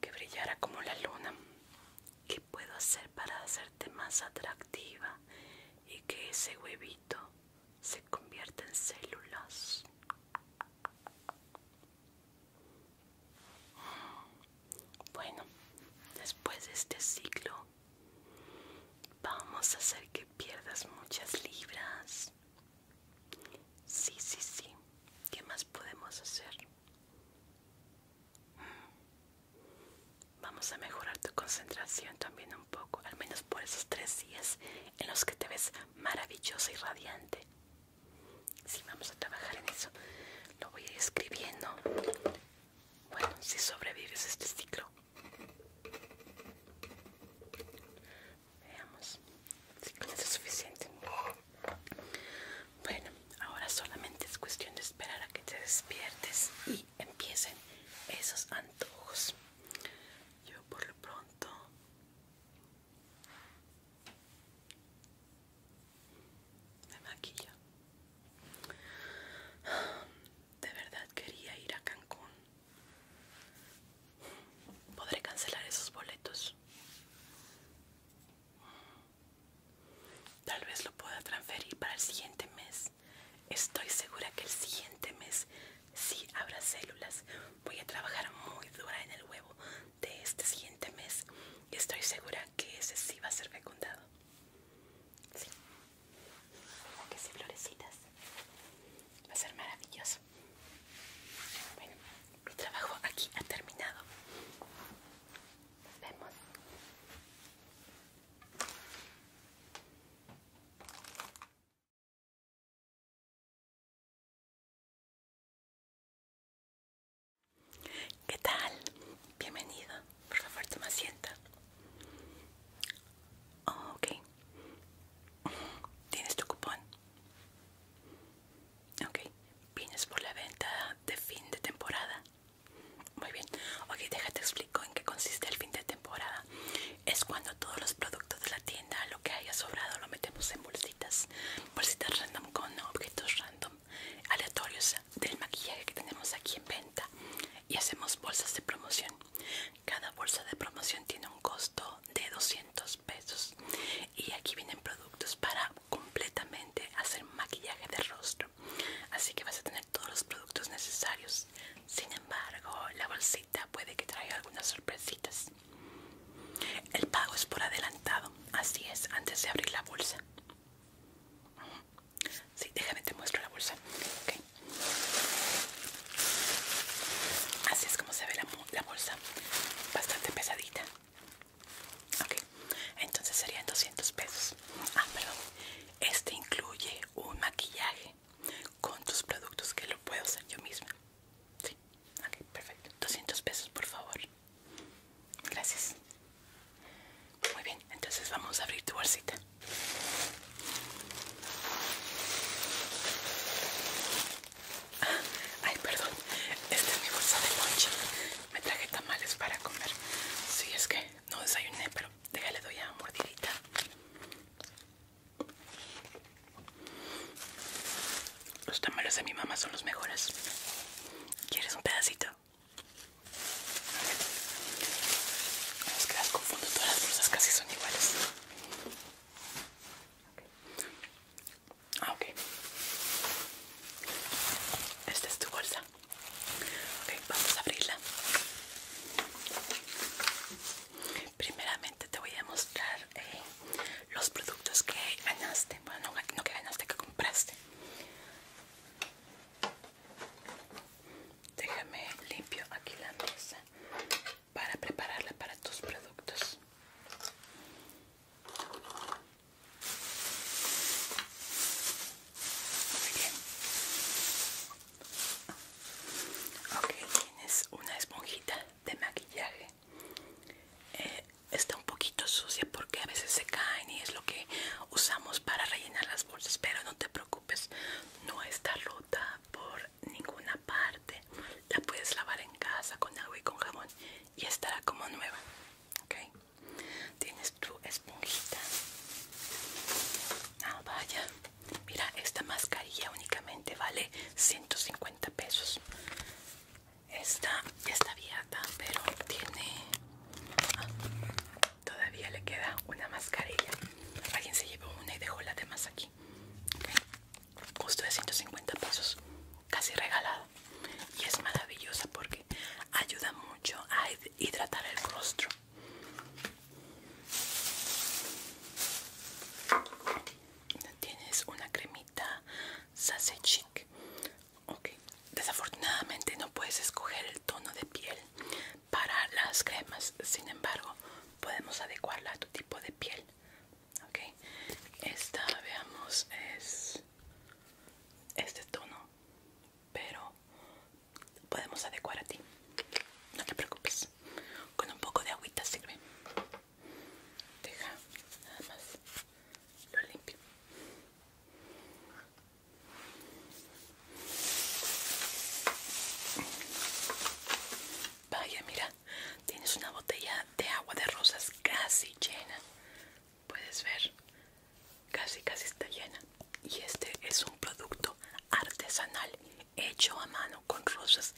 que brillara como la luna. ¿Qué puedo hacer para hacerte más atractiva y que ese huevito se convierta en células? Bueno, después de este ciclo vamos a hacer que pierdas muchas libras. Sí, sí, sí. ¿Qué más podemos hacer? Hmm. Vamos a mejorar tu concentración también un poco, al menos por esos tres días en los que te ves maravillosa y radiante si vamos a trabajar en eso. Lo voy a ir escribiendo. Bueno, si sobrevives este ciclo. Veamos si con eso es suficiente. Bueno, ahora solamente es cuestión de esperar a que te despiertes y empiecen esos antojos. Yo por lo pronto me maquilla. De verdad quería ir a Cancún. ¿Podré cancelar esos boletos? Tal vez lo pueda transferir para el siguiente mes. Estoy segura que el siguiente mes sí habrá células. Voy a trabajar muy dura en el huevo de este siguiente mes y estoy segura que ese sí va a ser fecundado. Sí. Como que si florecitas? Va a ser maravilloso. Bueno, mi trabajo aquí ha terminado. Nos vemos. ¿Qué tal? Bienvenido. Por favor, toma asiento. Oh, ok. ¿Tienes tu cupón? Ok. ¿Vienes por la venta de fin de temporada? Muy bien. Ok, déjate explico en qué consiste el fin de temporada. Es cuando todos los productos de la tienda, lo que haya sobrado, lo metemos en bolsitas bolsitas random con objetos random aleatorios del maquillaje que tenemos aquí en venta y hacemos bolsas de promoción cada bolsa de promoción tiene un costo de 200 pesos y aquí vienen productos para completamente hacer maquillaje de rostro así que vas a tener todos los productos necesarios sin embargo la bolsita puede que traiga algunas sorpresitas el pago es por adelantado, así es, antes de abrir la bolsa. Sí, déjame te muestro la bolsa. Así es como se ve la, bolsa, bastante pesadita. Ok, entonces serían 200 pesos. Ah, perdón. Este incluye un maquillaje con tus productos que lo puedo hacer yo misma. Sí, ok, perfecto. 200 pesos, por favor. Gracias. Muy bien, entonces vamos a abrir tu bolsita. Ah, ay, perdón. Esta es mi bolsa de Me traje tamales para comer. Sí, es que no desayuné, pero déjale doy a mordidita. Los tamales de mi mamá son los mejores. ¿Quieres un pedacito? No que las confundo, todas las bolsas casi son iguales. Ah, ok. Esta es tu bolsa. Ok, vamos a abrirla. Primeramente te voy a mostrar eh, los productos que ganaste, bueno, no, que ganaste, que compraste. Déjame limpio aquí la mesa para prepararla para tus productos. Ok, tienes una esponjita de maquillaje eh, está un poquito sucia porque a veces se caen y es lo que usamos para rellenar las bolsas pero no te preocupes no está rota por ninguna parte la puedes lavar en casa con agua y con jabón y estará como nueva tienes tu esponjita ah vaya mira esta mascarilla únicamente vale 150 pesos esta está abierta, pero tiene... Ah, todavía le queda una mascarilla. Alguien se llevó una y dejó la demás aquí. Custo de 150 pesos, casi regalado. Y es maravillosa porque ayuda mucho a hidratar el rostro. Tienes una cremita Sassy Chic. desafortunadamente no puedes escoger el tono de piel para las cremas, sin embargo, podemos adecuarla a tu tipo de piel. esta veamos es este tono, pero podemos adecuar a ti. No te preocupes, con un poco de agüita sirve. Deja, nada más lo limpio. Vaya, mira, tienes una botella de agua de rosas casi llena. Puedes ver, casi, casi está llena. Y este es un producto artesanal hecho a mano con rosas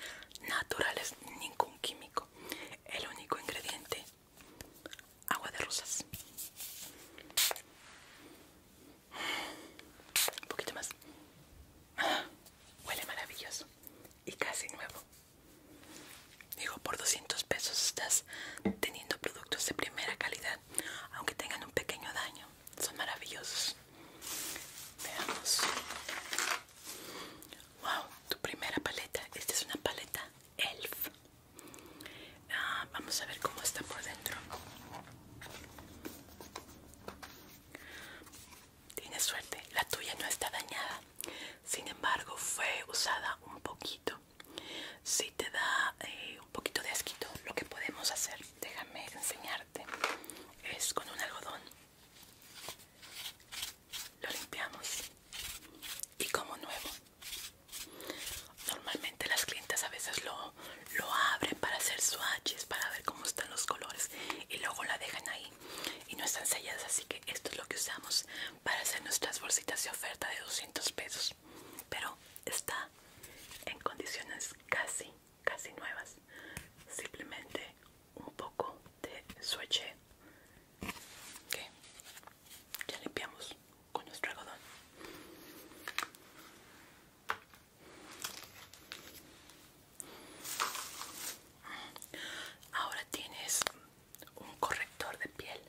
naturales, ningún químico. El único ingrediente agua de rosas un poquito más huele maravilloso y casi nuevo digo por 200 pesos estás teniendo productos de primera calidad aunque tengan un pequeño daño son maravillosos veamos wow tu primera paleta esta es una paleta Elf. Ah, vamos a ver cómo está por dentro. Tienes suerte, la tuya no está dañada. Sin embargo, fue usada un poquito. Si te da eh, un poquito de asquito, lo que podemos hacer, déjame enseñarte, es con un algodón lo limpiamos y como nuevo normalmente las clientes a veces lo, lo abren para hacer swatches para ver cómo están los colores y luego la dejan ahí y no están selladas así que esto es lo que usamos para hacer nuestras bolsitas de oferta de 200 pesos pero está en condiciones casi casi nuevas simplemente un poco de swatch Ok, ya limpiamos con nuestro algodón. Ahora tienes un corrector de piel.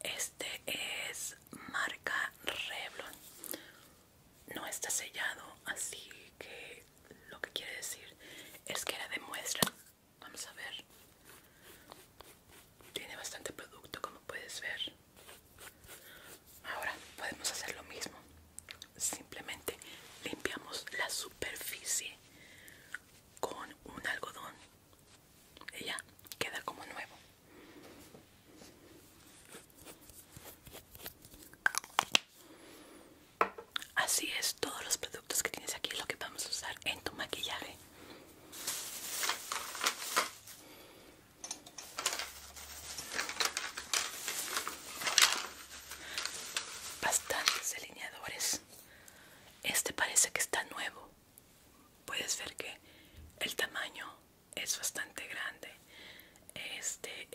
Este es marca Revlon. No está sellado, así que lo que quiere decir es que la demuestra Vamos a ver. Tiene bastante producto como puedes ver. Ahora podemos hacer lo mismo. Simplemente limpiamos la superficie con un algodón. Y ya queda como nuevo. Así es, todos los productos que tienes aquí es lo que vamos a usar en tu maquillaje. Bastantes delineadores. Este parece que está nuevo. Puedes ver que el tamaño es bastante grande. Este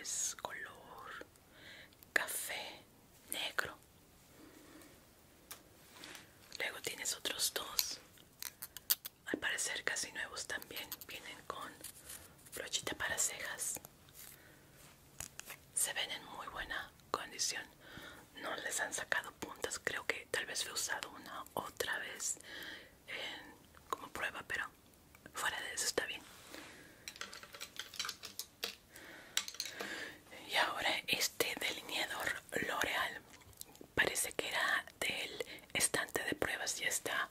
es color café negro. Luego tienes otros dos. Al parecer casi nuevos también. Vienen con brochita para cejas. Se ven en muy buena condición. No les han sacado puntas. Creo que tal vez fue usado una otra vez como prueba, pero fuera de eso está bien y ahora este delineador L'Oreal parece que era del estante de pruebas y está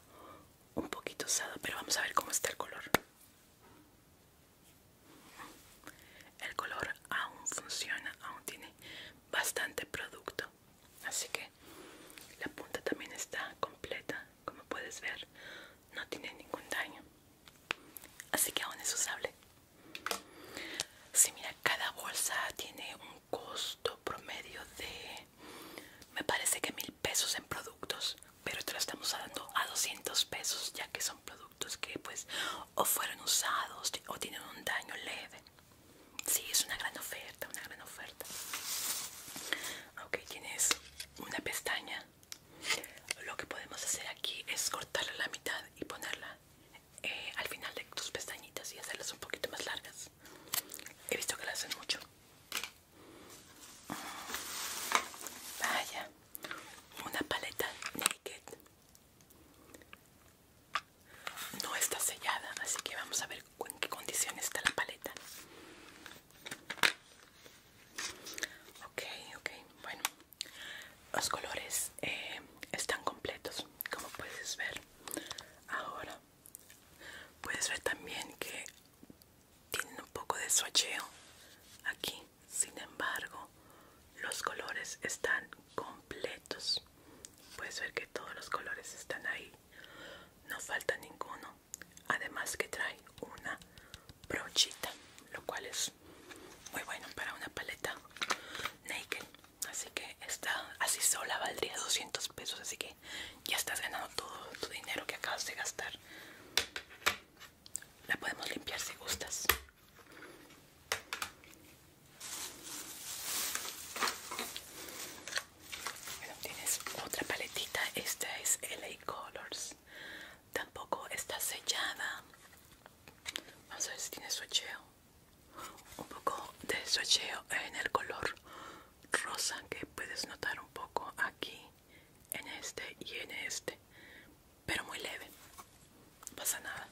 un poquito usado pero vamos a ver cómo está el color el color aún funciona aún tiene bastante producto así que la punta también está completa como puedes ver no tiene ningún daño así que aún es usable si mira cada bolsa tiene un costo promedio de me parece que mil pesos en productos pero te lo estamos dando a 200 pesos ya que son productos que pues o fueron usados o tienen un daño leve Sí, es una gran oferta una gran oferta ok tienes una pestaña lo que podemos hacer aquí es cortarla a la mitad y ponerla eh, al final de tus pestañitas y hacerlas un poquito más largas. He visto que lo hacen mucho. Vaya, una paleta naked. No está sellada, así que vamos a ver en qué condición está la paleta. Ok, ok, bueno. Los colores eh, están completos, como puedes ver. Ahora puedes ver también que tienen un poco de swatcheo aquí. Sin embargo, los colores están completos. Puedes ver que todos los colores están ahí. No falta ninguno. Además que trae una brochita, lo cual es muy bueno para una paleta naked. Así que esta así sola valdría 200 pesos, así que ya estás ganando todo tu dinero que acabas de gastar. La podemos limpiar si gustas. Bueno, tienes otra paletita, esta es LA Colors. Tampoco está sellada, Vamos a ver si tiene socheo. Un poco de socheo en el color rosa que puedes notar un poco aquí, en este y en este. Pero muy leve. No pasa nada.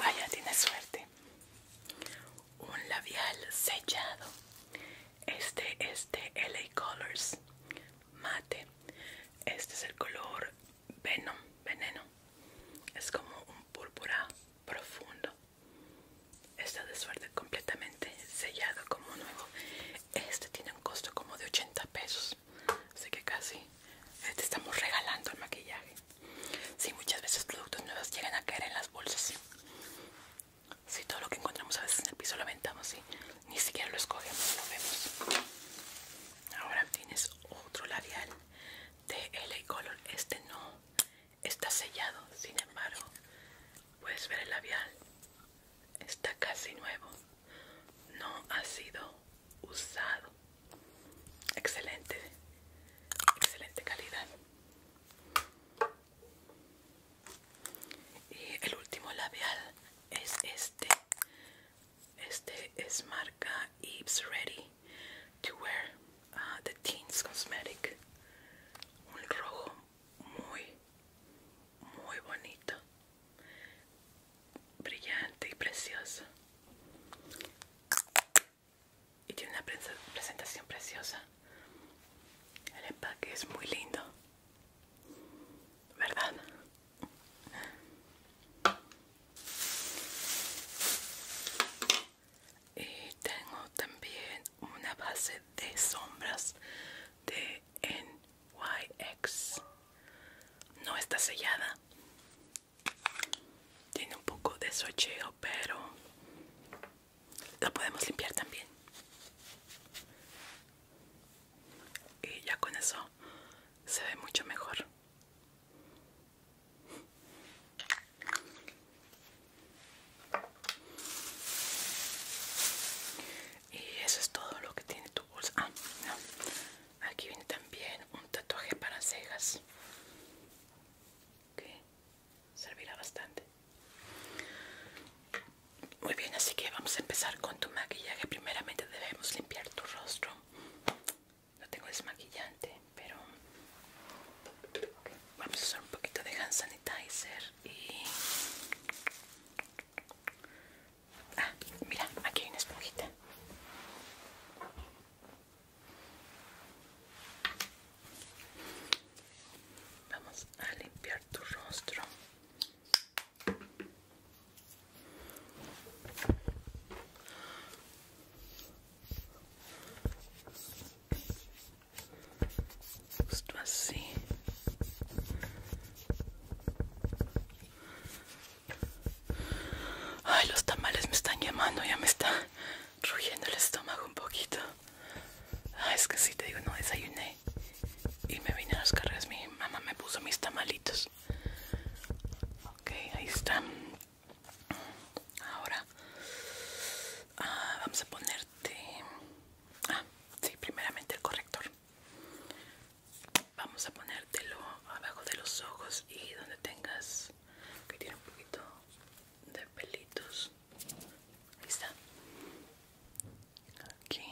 Vaya, tiene suerte un labial sellado este es de LA Colors mate este es el color Venom veneno es como un púrpura profundo está de suerte completamente sellado como nuevo este tiene un costo como de 80 pesos así que casi eh, te estamos regalando el maquillaje si muchas veces productos nuevos llegan a caer en las bolsas si todo lo que encontramos a veces en el piso lo aventamos y ni siquiera lo escogemos, lo vemos. Ahora tienes otro labial de LA Color. Este no está sellado, sin embargo, puedes ver el labial. Está casi nuevo. No ha sido usado. Excelente. Excelente calidad y el último labial es este este es marca Eve's Ready to Wear The ah, Teens Cosmetic un rojo muy muy bonito brillante y precioso y tiene una presentación preciosa el empaque es muy lindo, ¿verdad? Y tengo también una base de sombras de NYX. No está sellada. Tiene un poco de socheo, pero la podemos limpiar también y ya con eso se ve mucho mejor y eso es todo lo que tiene tu bolsa ah, aquí viene también un tatuaje para cejas servirá bastante muy bien así que vamos a empezar con tu maquillaje primeramente debemos limpiar tu rostro no tengo desmaquillante pero vamos a usar un poquito de hand sanitizer y ah mira aquí hay una esponjita Vamos a limpiar tu rostro. Justo así. Ay, los tamales me están llamando, ya me está rugiendo el estómago un poquito. Ah, es que si te digo no desayuné y me vine a las carreras mi mamá me puso mis tamalitos ok ahí está ahora ah, vamos a ponerte ah sí primeramente el corrector vamos a ponértelo abajo de los ojos y donde tengas que tiene un poquito de pelitos Aquí.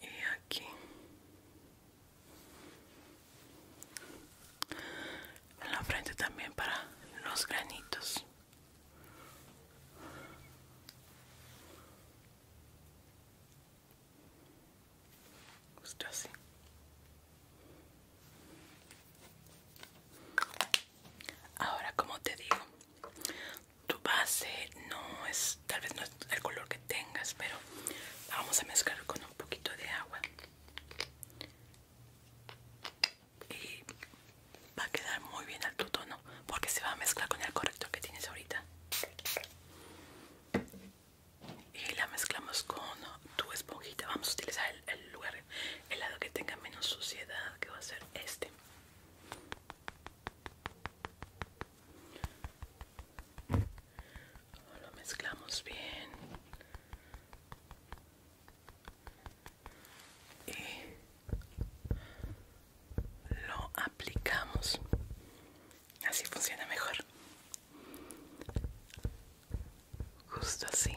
Y aquí. En la frente también para los granitos. Justo así. Ahora, como te digo, tu base no es, tal vez no es el color que tengas, pero vamos a mezclar con un poquito de agua y va a quedar muy bien al tu tono porque se va a mezclar con el corrector que tienes ahorita y la mezclamos con tu esponjita. Vamos a utilizar el, lugar, el lado que tenga menos suciedad, que va a ser este. Lo mezclamos bien. Y lo aplicamos así funciona mejor justo así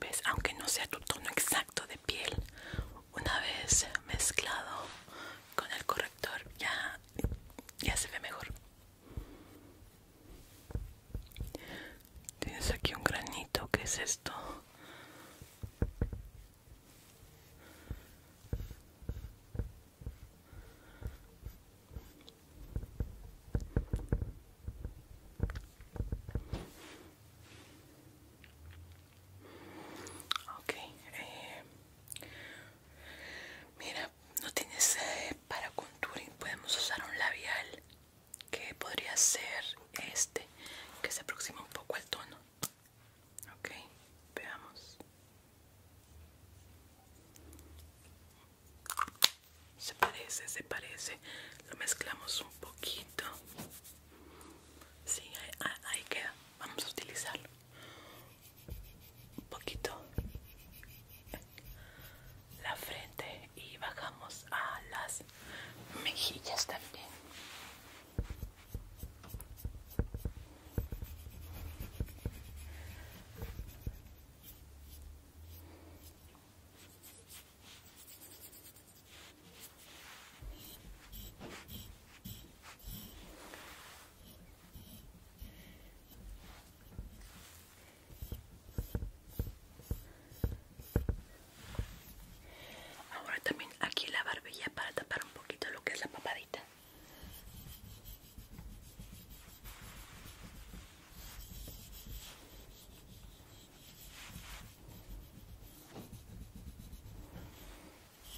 ves aunque no sea tu tono exacto de piel una vez mezclado con el corrector ya ya se ve mejor tienes aquí un granito que es esto eh, mira, no tienes eh, para contouring, podemos usar un labial que podría ser este, que se aproxima un poco al tono. Ok, veamos. Se parece, se parece. Lo mezclamos un poquito. Sí, ahí, ahí queda. Vamos a utilizarlo. Un poquito. La frente y bajamos a las mejillas también. Ahora también aquí la barbilla para tapar un poquito lo que es la papadita.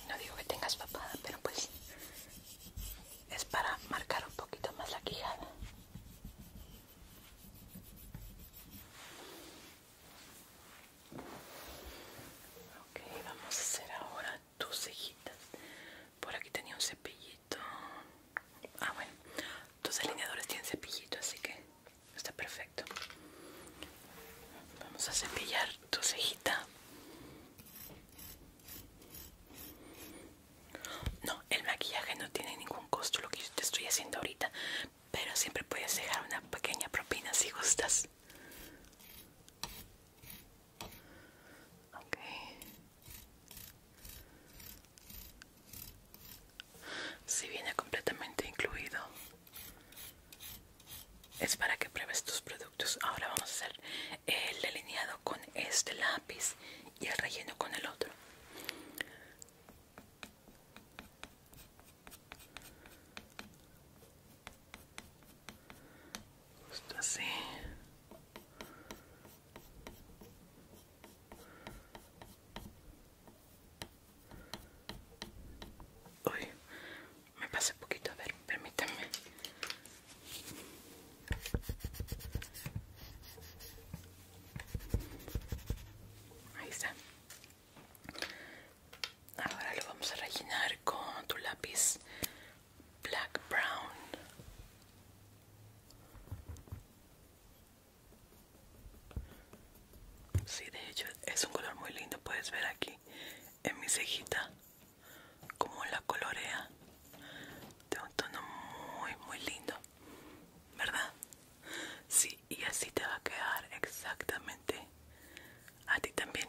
No digo que tengas papada, pero pues es para marcar un poquito más la quijada. Ok, vamos a hacer ahora tu tus cejitas. Por aquí tenía un cepillito. Ah, bueno, tus alineadores tienen cepillito, así que está perfecto. Vamos a cepillar tu cejita. No, el maquillaje no tiene ningún costo lo que yo te estoy haciendo ahorita, pero siempre puedes dejar una pequeña propina si gustas. Si viene completamente incluido. Es para que pruebes tus productos. Ahora vamos a hacer el delineado con este lápiz y el relleno con el otro. Justo así. me pasé poquito, a ver, permítanme. Ahí está. Ahora lo vamos a rellenar con tu lápiz black brown Sí, de hecho es un color muy lindo, puedes ver aquí en mi cejita como la colorea de un tono muy muy lindo, ¿verdad? Sí, y así te va a quedar exactamente a ti también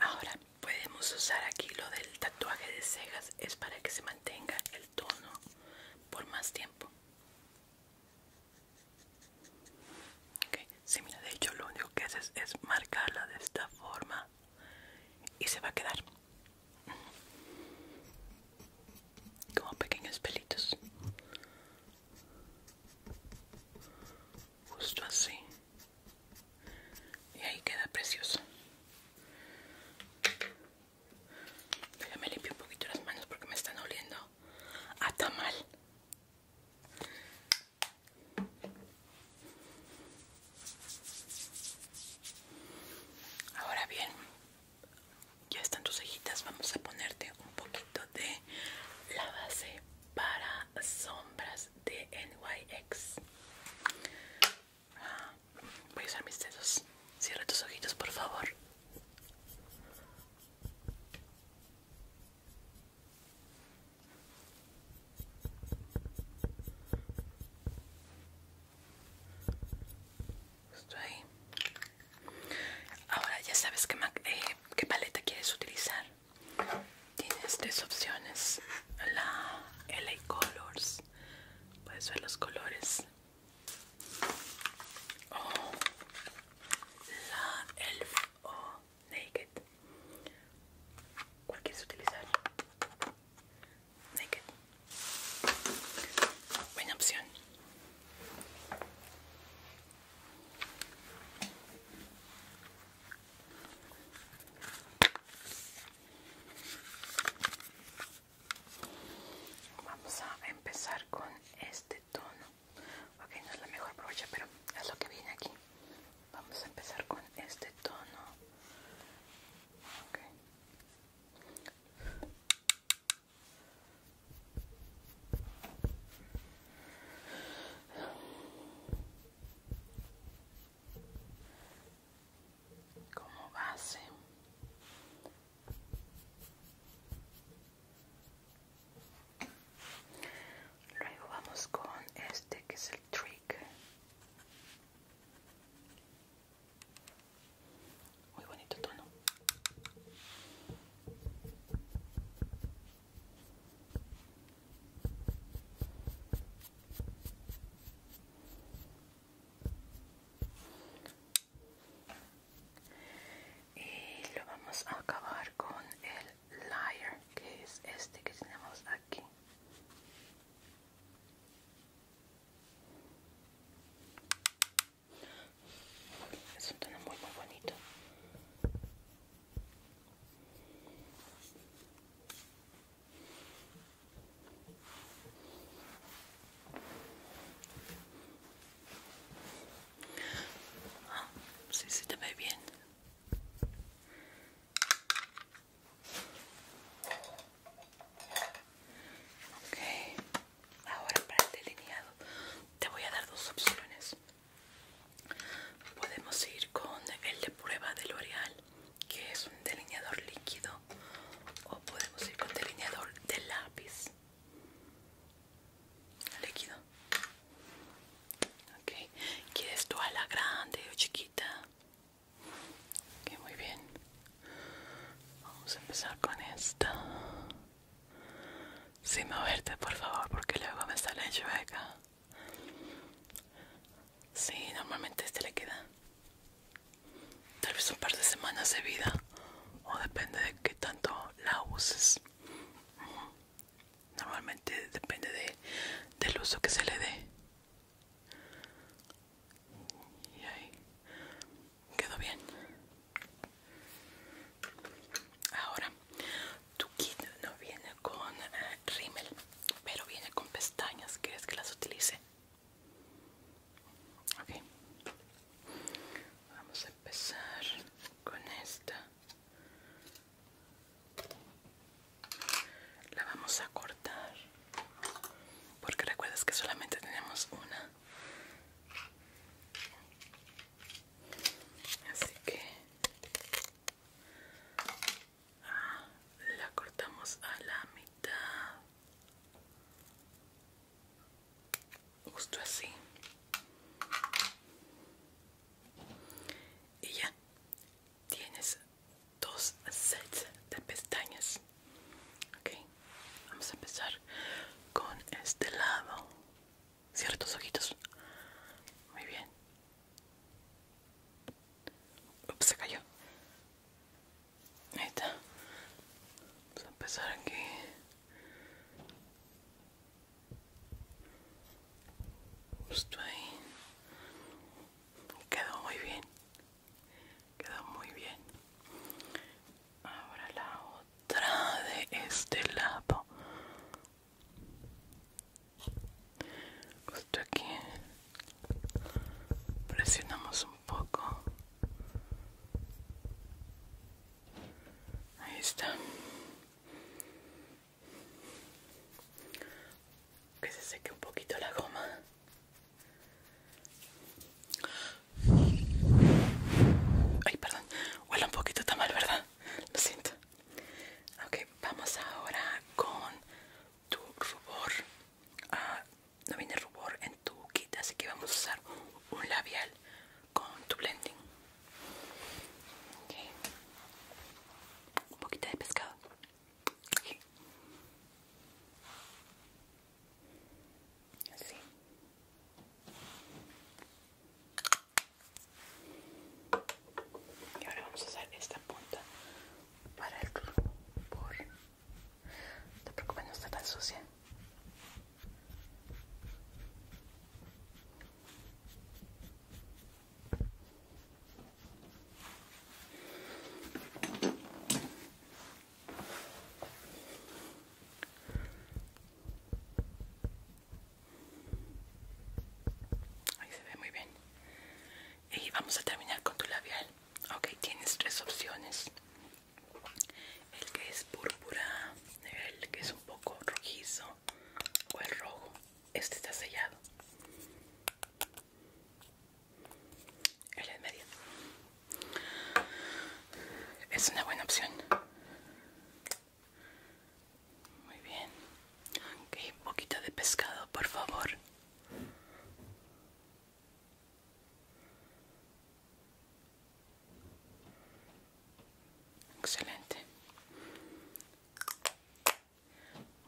Ahora podemos usar aquí lo del tatuaje de cejas, es para que se mantenga el tono por más tiempo. Okay. Sí, mira, de hecho lo único que haces es marcarla de esta forma y se va a quedar como pequeños pelitos. Justo así y ahí queda precioso me limpiar un poquito las manos porque me están oliendo a mal ahora bien ya están tus cejitas vamos a ponerte un poquito de la base para sombras de NYX. Ah, voy a usar mis dedos. Cierra tus ojitos, por favor. Justo ahí. Ahora ya sabes qué, eh, qué paleta quieres utilizar. Tienes tres opciones. La LA Colors. Puedes ver los colores. O la Elf o Naked. ¿Cuál quieres utilizar? Naked. Buena opción. Vamos a empezar con este tono. Ok, no es la mejor brocha, pero es lo que viene aquí. Vamos a empezar con este tono como base luego vamos con este que es el trick muy bonito tono y lo vamos a acabar con el layer que es este que tenemos aquí es un tono muy muy bonito Ah, sí, sí te ve bien. Ok, ahora para el delineado te voy a dar dos opciones. Podemos ir con el de prueba de L'Oreal, que es un delineador líquido, o podemos ir con delineador de lápiz líquido. Okay. ¿Quieres tú a la grande o chiquita? Que muy bien. Vamos a empezar con esta. Sin moverte, por favor, porque luego me sale chueca. Sí, normalmente este le queda tal vez un par de semanas de vida o depende de qué tanto la uses. Normalmente depende de, del uso que se le dé. Y ahí quedó bien. Ahora tu kit no viene con eh, rímel, pero viene con pestañas. ¿Quieres que las utilice? Ok. Vamos a empezar con esta. La vamos a cortar. Porque recuerdas que solamente tenemos una. Así que la cortamos a la mitad justo así y ya tienes dos sets de pestañas ok vamos a empezar con este lado ciertos ojitos muy bien Ups, se cayó. Ahí está. Vamos a empezar aquí. Justo ahí. Quedó muy bien. Quedó muy bien. Ahora la otra de este lado justo aquí presionamos un poco ahí está que se seque un poquito la goma ay perdón huele un poquito tan mal verdad lo siento Ok, vamos ahora con tu rubor. Ah, no viene rubor en tu kit, así que vamos a usar un labial con tu blending. Okay. Un poquito de pescado. Así y ahora vamos a usar esta punta para el rubor no te preocupes no está tan sucia Ahí se ve muy bien. Y vamos a terminar con tu labial. Ok, tienes tres opciones. El que es púrpura, el que es un poco rojizo o el rojo. Este está sellado. El en medio. Es una buena opción. Muy bien. Ok, un poquito de pescado, por favor. Excelente.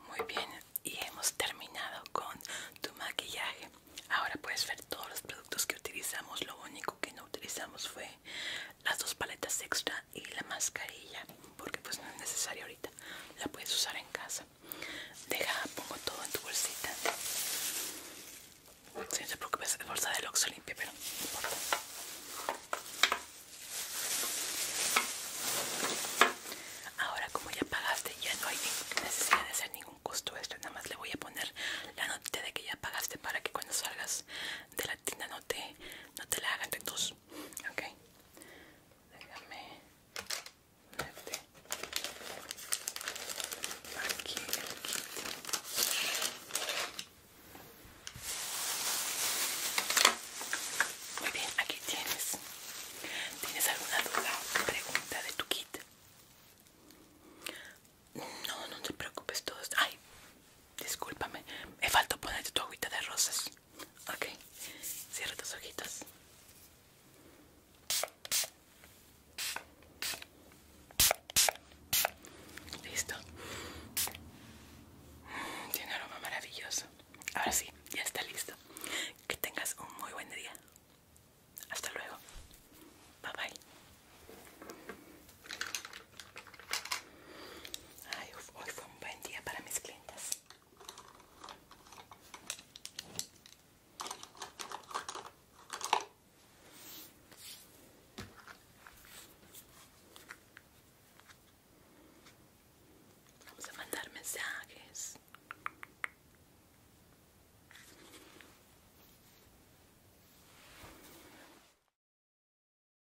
Muy bien, y hemos terminado con tu maquillaje. Ahora puedes ver todos los productos que utilizamos. Lo único que no utilizamos fue las dos paletas extra y la mascarilla porque pues no es necesario ahorita la puedes usar en casa deja pongo todo en tu bolsita no bolsa de loxo limpia pero ahora como ya pagaste ya no hay necesidad de hacer ningún costo esto nada más le voy a poner la nota de que ya pagaste para que cuando salgas de la tienda no te no te la hagan de tus ok déjame aquí muy bien aquí tienes tienes alguna duda pregunta de tu kit no no te preocupes todos ay discúlpame me faltó ponerte tu agüita de rosas Ok, cierra tus ojitos. Listo. Tiene aroma maravilloso. Ahora sí, ya está listo. Que tengas un muy buen día. Hasta luego. Bye bye. Ay, hoy fue un buen día para mis clientes. Vamos a mandar mensajes.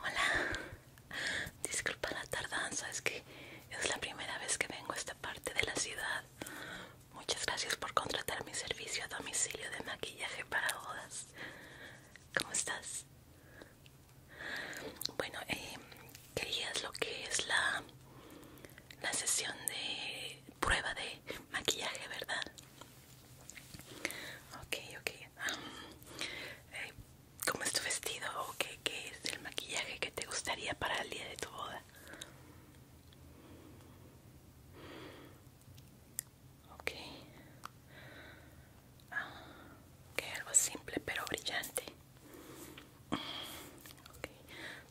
Hola, disculpa la tardanza, es que es la primera vez que vengo a esta parte de la ciudad. Muchas gracias por contratar mi servicio a domicilio de maquillaje para bodas. ¿Cómo estás? Bueno, eh, querías lo que es la, la sesión de prueba de maquillaje, ¿verdad? Ok, ok. Eh, ¿Cómo es tu vestido o qué es el maquillaje que te gustaría para el día de tu boda? ok que ah, algo simple pero brillante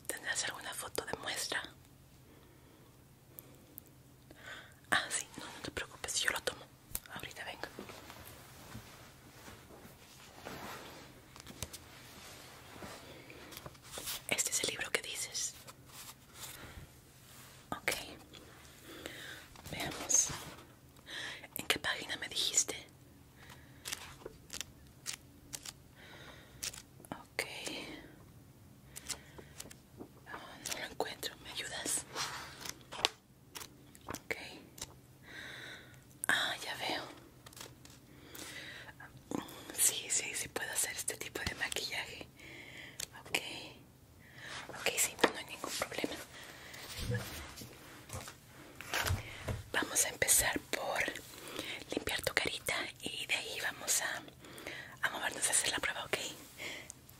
tendrás alguna foto de muestra ah sí no no te preocupes yo lo tomo ahorita vengo este es el libro que dices Ok. Veamos. ¿En qué página me dijiste? Ok. Ah, no lo encuentro. ¿Me ayudas? Ok. Ah, ya veo. Sí, sí, sí puedo hacer este tipo de maquillaje. Ok. Ok, sí, no hay ningún problema. Vamos a empezar por limpiar tu carita y de ahí vamos a, movernos a hacer la prueba, ¿ok?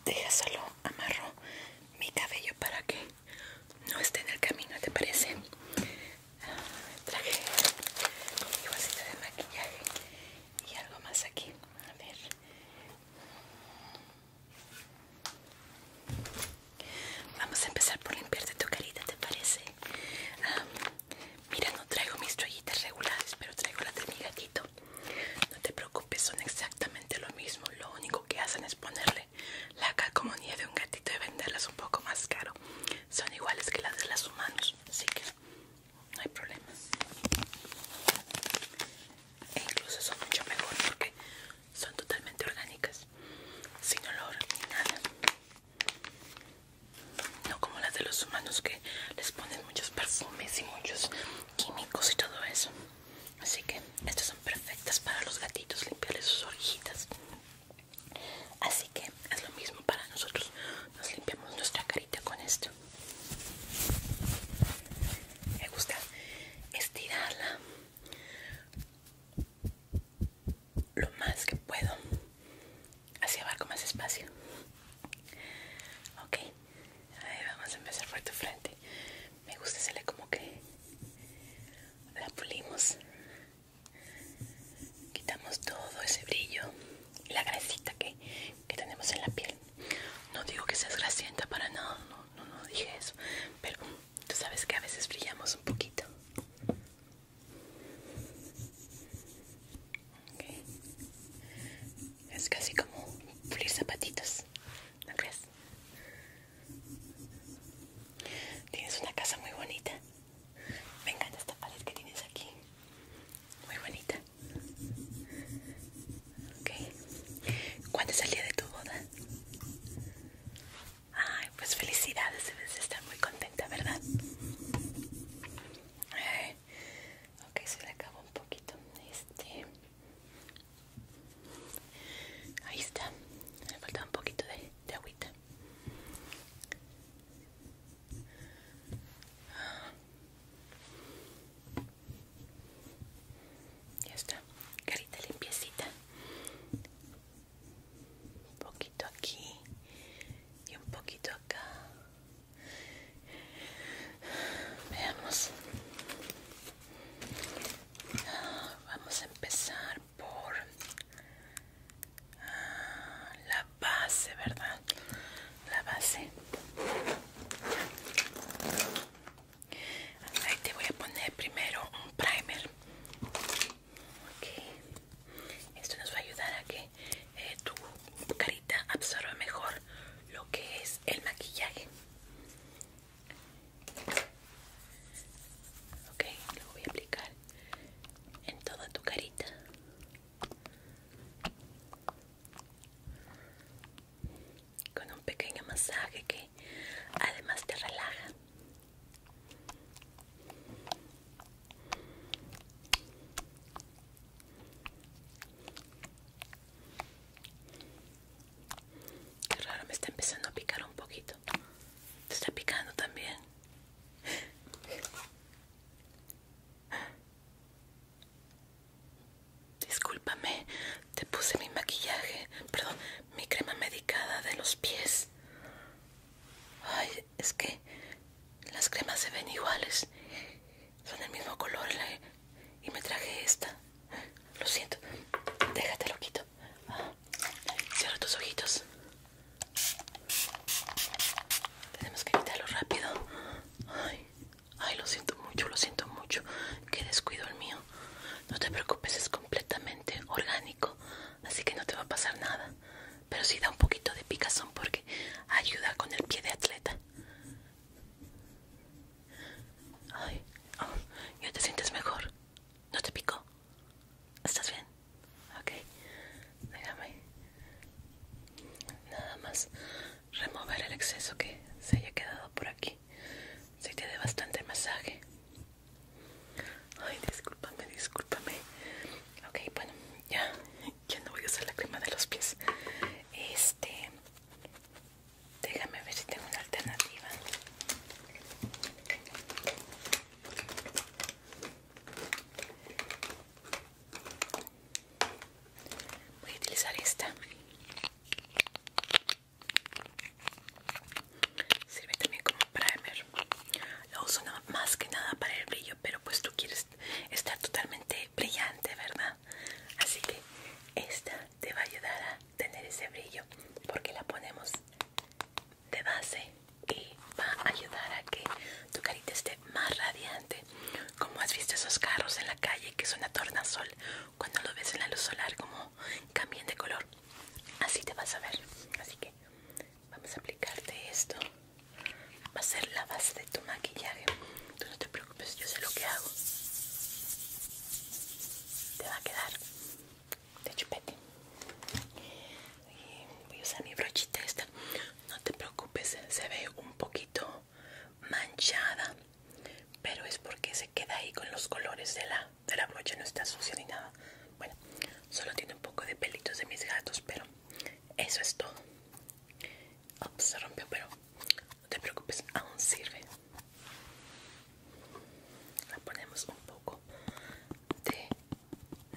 Deja solo amarro mi cabello para que no esté en el camino, ¿te parece? Traje mi bolsita de maquillaje y algo más aquí. A ver. Vamos a empezar por limpiarte tu carita, ¿te parece? mira, no traigo mis toallitas regulares, pero traigo las de mi gatito. No te preocupes, son exactamente lo mismo. Lo único que hacen es ponerle la calcomanía de un gatito y venderlas un poco más caro. Son iguales que las de los humanos, así que no hay problema e incluso son mucho mejor porque son totalmente orgánicas sin olor ni nada no como las de los humanos que les ponen muchos perfumes y muchos químicos y todo eso así que estas son perfectas para los gatitos limpiarles sus orejitas así que es lo mismo para nosotros nos limpiamos nuestra carita con esto me gusta estirarla lo más que puedo hacia abajo, más espacio. Ok, ahí vamos a empezar por tu frente. Me gusta hacerle como que la pulimos, quitamos todo ese brillo la grasita que que tenemos en la piel. No digo que seas grasienta para nada, no, no, no dije eso. Pero tú sabes que a veces brillamos un poquito. Es casi como pulir zapatitos, ¿no crees? Tienes una casa muy bonita. Me encanta esta pared que tienes aquí. Muy bonita. Okay. ¿Cuándo es de tu boda? Ay, pues felicidades, debes estar muy contenta, ¿verdad? Okay, eh, Ok, se le acabó un poquito. Este. Ahí está. Me falta un poquito de, de agüita. Ya está, carita limpiecita. Un poquito aquí y un poquito acá. Veamos. vamos a empezar por ah, la base, ¿verdad? La base te voy a poner primero un primer. Esto nos va a ayudar a que eh, tu carita absorba mejor lo que es el maquillaje. Ok, lo voy a aplicar en toda tu carita con un pequeño masaje que además te relaja. Qué raro, me está empezando a picar un poquito. Te está picando también. Discúlpame, te puse mi maquillaje, perdón, mi crema medicada de los pies. Ay, es que las cremas se ven iguales, son del mismo color eh, y me traje esta. Lo siento, déjate lo quito. cierra tus ojitos. Tenemos que evitarlo rápido. Ay. Ay, lo siento mucho, lo siento mucho. Qué descuido el mío. No te preocupes, es completamente orgánico. Así que no te va a pasar nada. Pero sí da un poquito de picazón porque ayuda con el pie de atleta. Ay, oh, ya te sientes mejor. ¿No te picó? ¿Estás bien? Ok. Déjame. Nada más remover el exceso que se haya quedado por aquí se te dé bastante masaje. Ay, discúlpame, discúlpame. Ok, bueno, ya, ya no voy a usar la crema de los pies. Este, déjame ver si tengo una alternativa. Voy a utilizar esta. Sirve también como primer. Lo uso más que nada para el brillo, pero pues tú quieres estar totalmente brillante, ¿verdad? Así que esta te va a ayudar a tener ese brillo porque la ponemos de base y va a ayudar a que tu carita esté más radiante. Como has visto esos carros en la calle que son a tornasol, cuando lo ves en la luz solar como cambian de color así te vas a ver así que vamos a aplicarte esto va a ser la base de tu maquillaje tú no te preocupes yo sé lo que hago te va a quedar de chupete voy a usar mi brochita esta no te preocupes se ve un poquito manchada pero es porque se queda ahí con los colores de la, de la brocha, no está sucia ni nada. Bueno, solo tiene un poco de pelitos de mis gatos, pero eso es todo. Oh, pues, se rompió, pero no te preocupes, aún sirve. le ponemos un poco de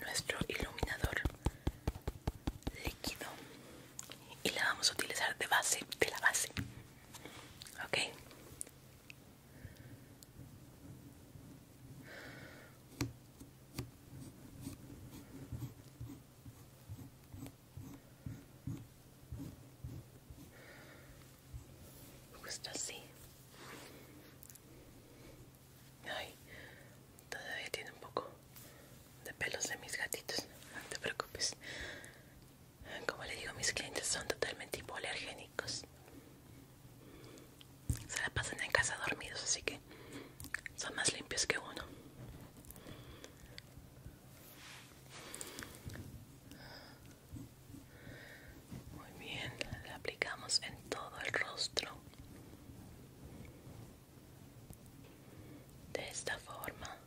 nuestro iluminador líquido y la vamos a utilizar de base de la base Ok. así. Ay, todavía tiene un poco de pelos de mis gatitos. No te preocupes. Como le digo, mis clientes son totalmente hipoalergénicos. Se la pasan en casa dormidos, así que son más limpios que uno. Muy bien, la aplicamos en todo el rostro. De esta forma.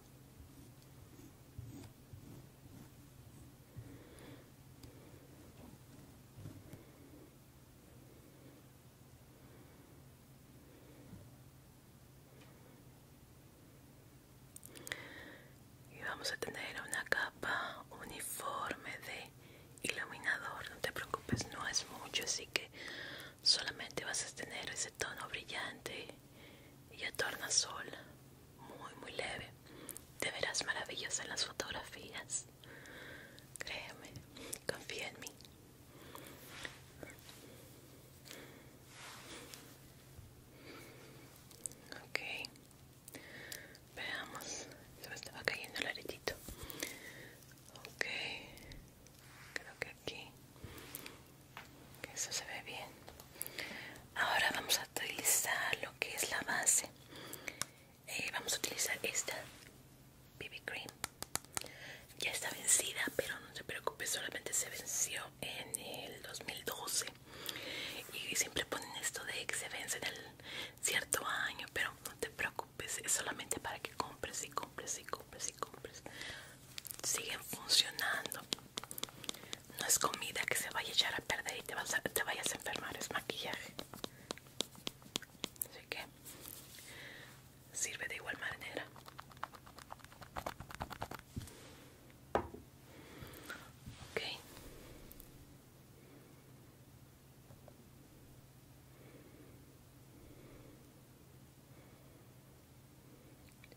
Y vamos a tener una capa uniforme de iluminador. No te preocupes, no es mucho, así que solamente vas a tener ese tono brillante y torna sola muy muy leve te verás maravillosa en las fotografías créeme confía en mí ok veamos se me estaba cayendo el aretito ok creo que aquí que eso se ve bien ahora vamos a utilizar lo que es la base eh, vamos a utilizar esta BB Cream ya está vencida pero no te preocupes solamente se venció en el 2012 y siempre ponen esto de que se vence en el cierto año pero no te preocupes es solamente para que compres y compres y compres y compres siguen funcionando no es comida que se vaya a echar a perder y te, vayas a enfermar, es maquillaje. Así que sirve de igual manera. Ok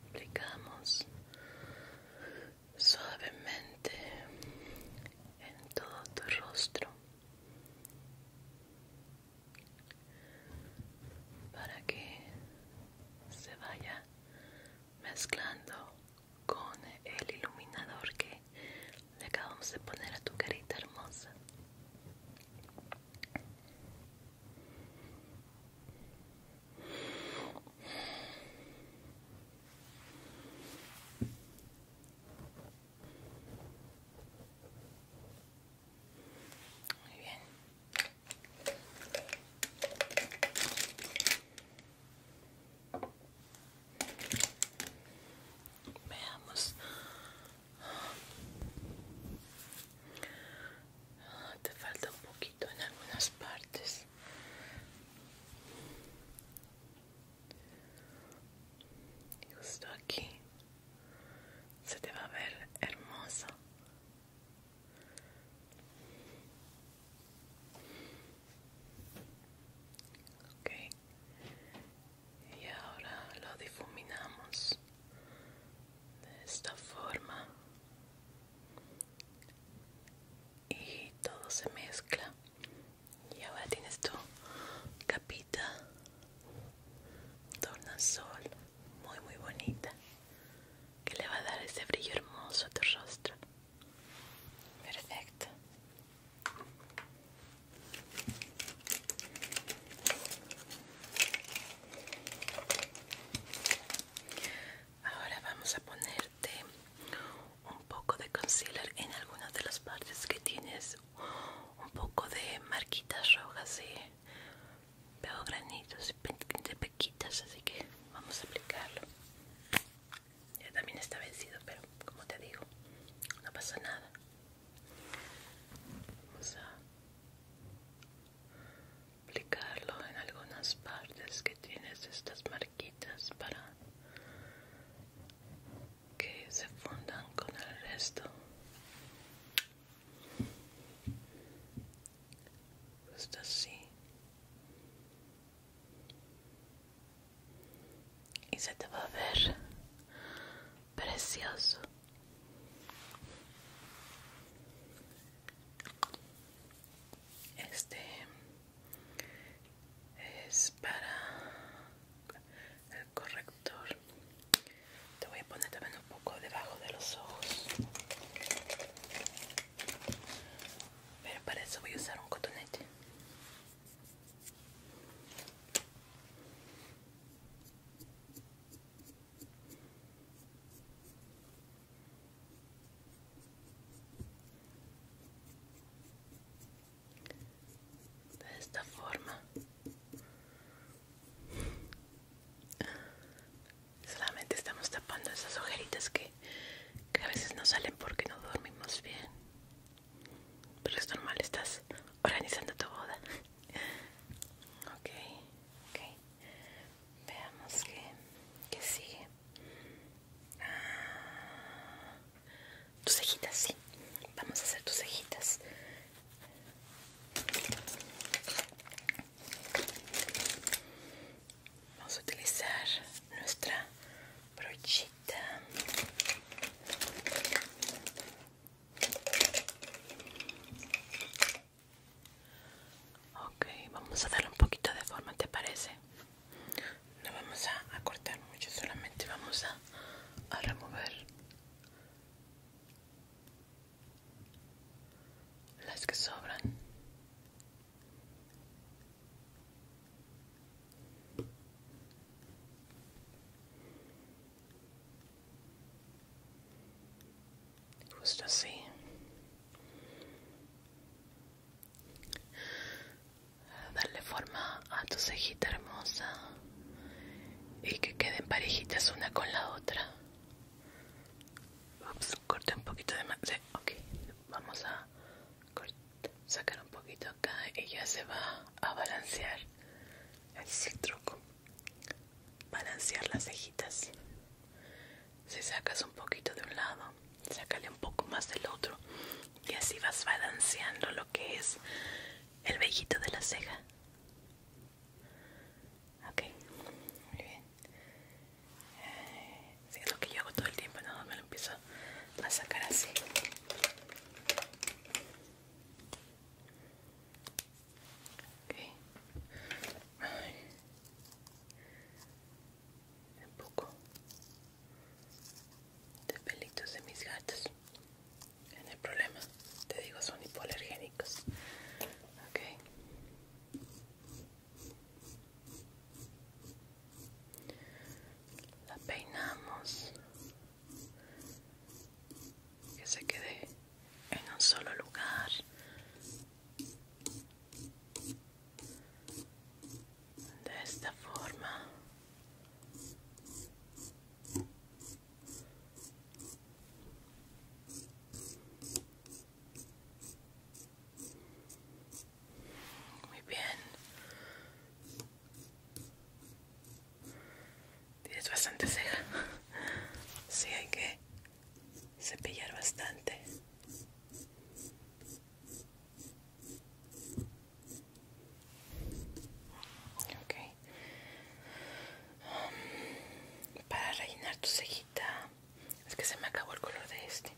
aplicamos suavemente en todo tu rostro para que se vaya mezclando con el iluminador que le acabamos de poner a tu carita hermosa muy bien. Veamos. Te falta un poquito en algunas partes. Justo aquí se te va a ver hermoso. Ok. Y ahora lo difuminamos de esta forma y todo se mezcla y ahora tienes tu capita sol muy muy bonita que le va a dar ese brillo hermoso a tu rostro perfecto Ahora vamos a ponerte un poco de concealer en algunas de las partes que tienes un poco de marquitas rojas y veo granitos de pequitas, así que vamos a aplicarlo. Ya también está vencido, pero como te digo, no pasa nada. Vamos a aplicarlo en algunas partes que tienes estas marquitas para que se fundan con el resto justo pues así y se te va a ver precioso este es para el corrector te voy a poner también un poco debajo de los ojos pero para eso voy a usar un cotonete de esta forma solamente estamos tapando esas ojeritas que, que a veces no salen porque no dormimos bien pero es normal estás organizando tu boda ok ok Veamos qué, qué sigue. Ah, tus cejitas, sí. Vamos a hacer tus cejitas. Vamos a utilizar nuestra brochita. Ok, vamos a darle un poquito de forma, ¿te parece? no vamos a, cortar mucho solamente vamos a remover las que sobran justo así darle forma a tu cejita hermosa y que queden parejitas una con la otra. un poquito de vamos a sacar un poquito acá y ya se va a balancear. es el truco: balancear las cejitas si sacas un poquito de un lado sácale un poco más del otro y así vas balanceando lo que es el vellito de la ceja ok muy bien eh, Si es lo que yo hago todo el tiempo no, me lo empiezo a sacar así un poco de pelitos de mis gatos en el problema te digo son hipoalergénicos ok la peinamos que se quede en un solo lugar de esta forma muy bien tienes bastante ceja sí hay que cepillar bastante Um, para rellenar tu cejita. Es que se me acabó el color de este.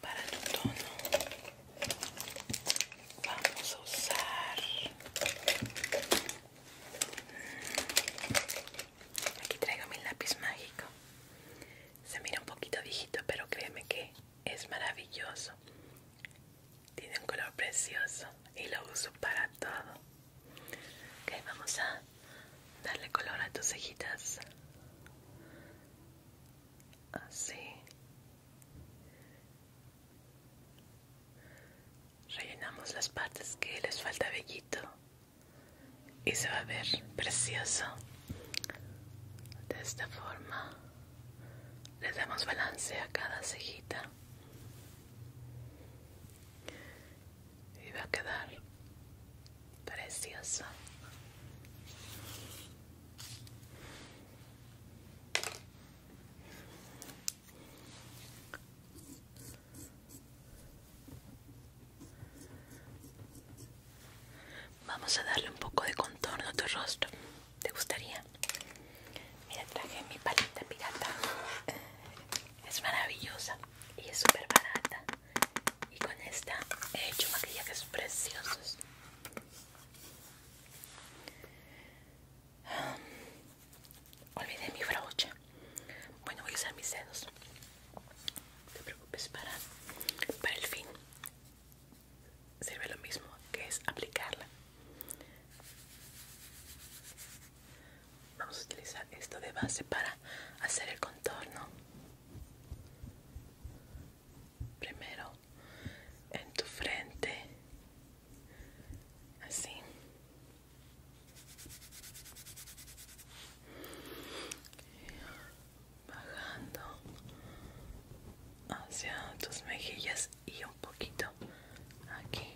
Para tu tono. Vamos a usar. Mm, aquí traigo mi lápiz mágico. Se mira un poquito viejito, pero créeme que es maravilloso. Tiene un color precioso y lo uso para todo. Ok, vamos a darle color a tus cejitas. Así. Rellenamos las partes que les falta vellito y se va a ver precioso de esta forma le damos balance a cada cejita y va a quedar precioso Vamos a darle un poco de contorno a tu rostro. ¿Te gustaría? Mira, traje mi palita pirata. Es maravillosa y es súper barata. Y con esta he hecho maquillajes preciosos. olvidé mi brocha. Bueno, voy a usar mis dedos. No te preocupes para, para el fin. Sirve lo mismo que es aplicarla. Vamos a utilizar esto de base para hacer el contorno. Primero en tu frente. Así bajando hacia tus mejillas y un poquito aquí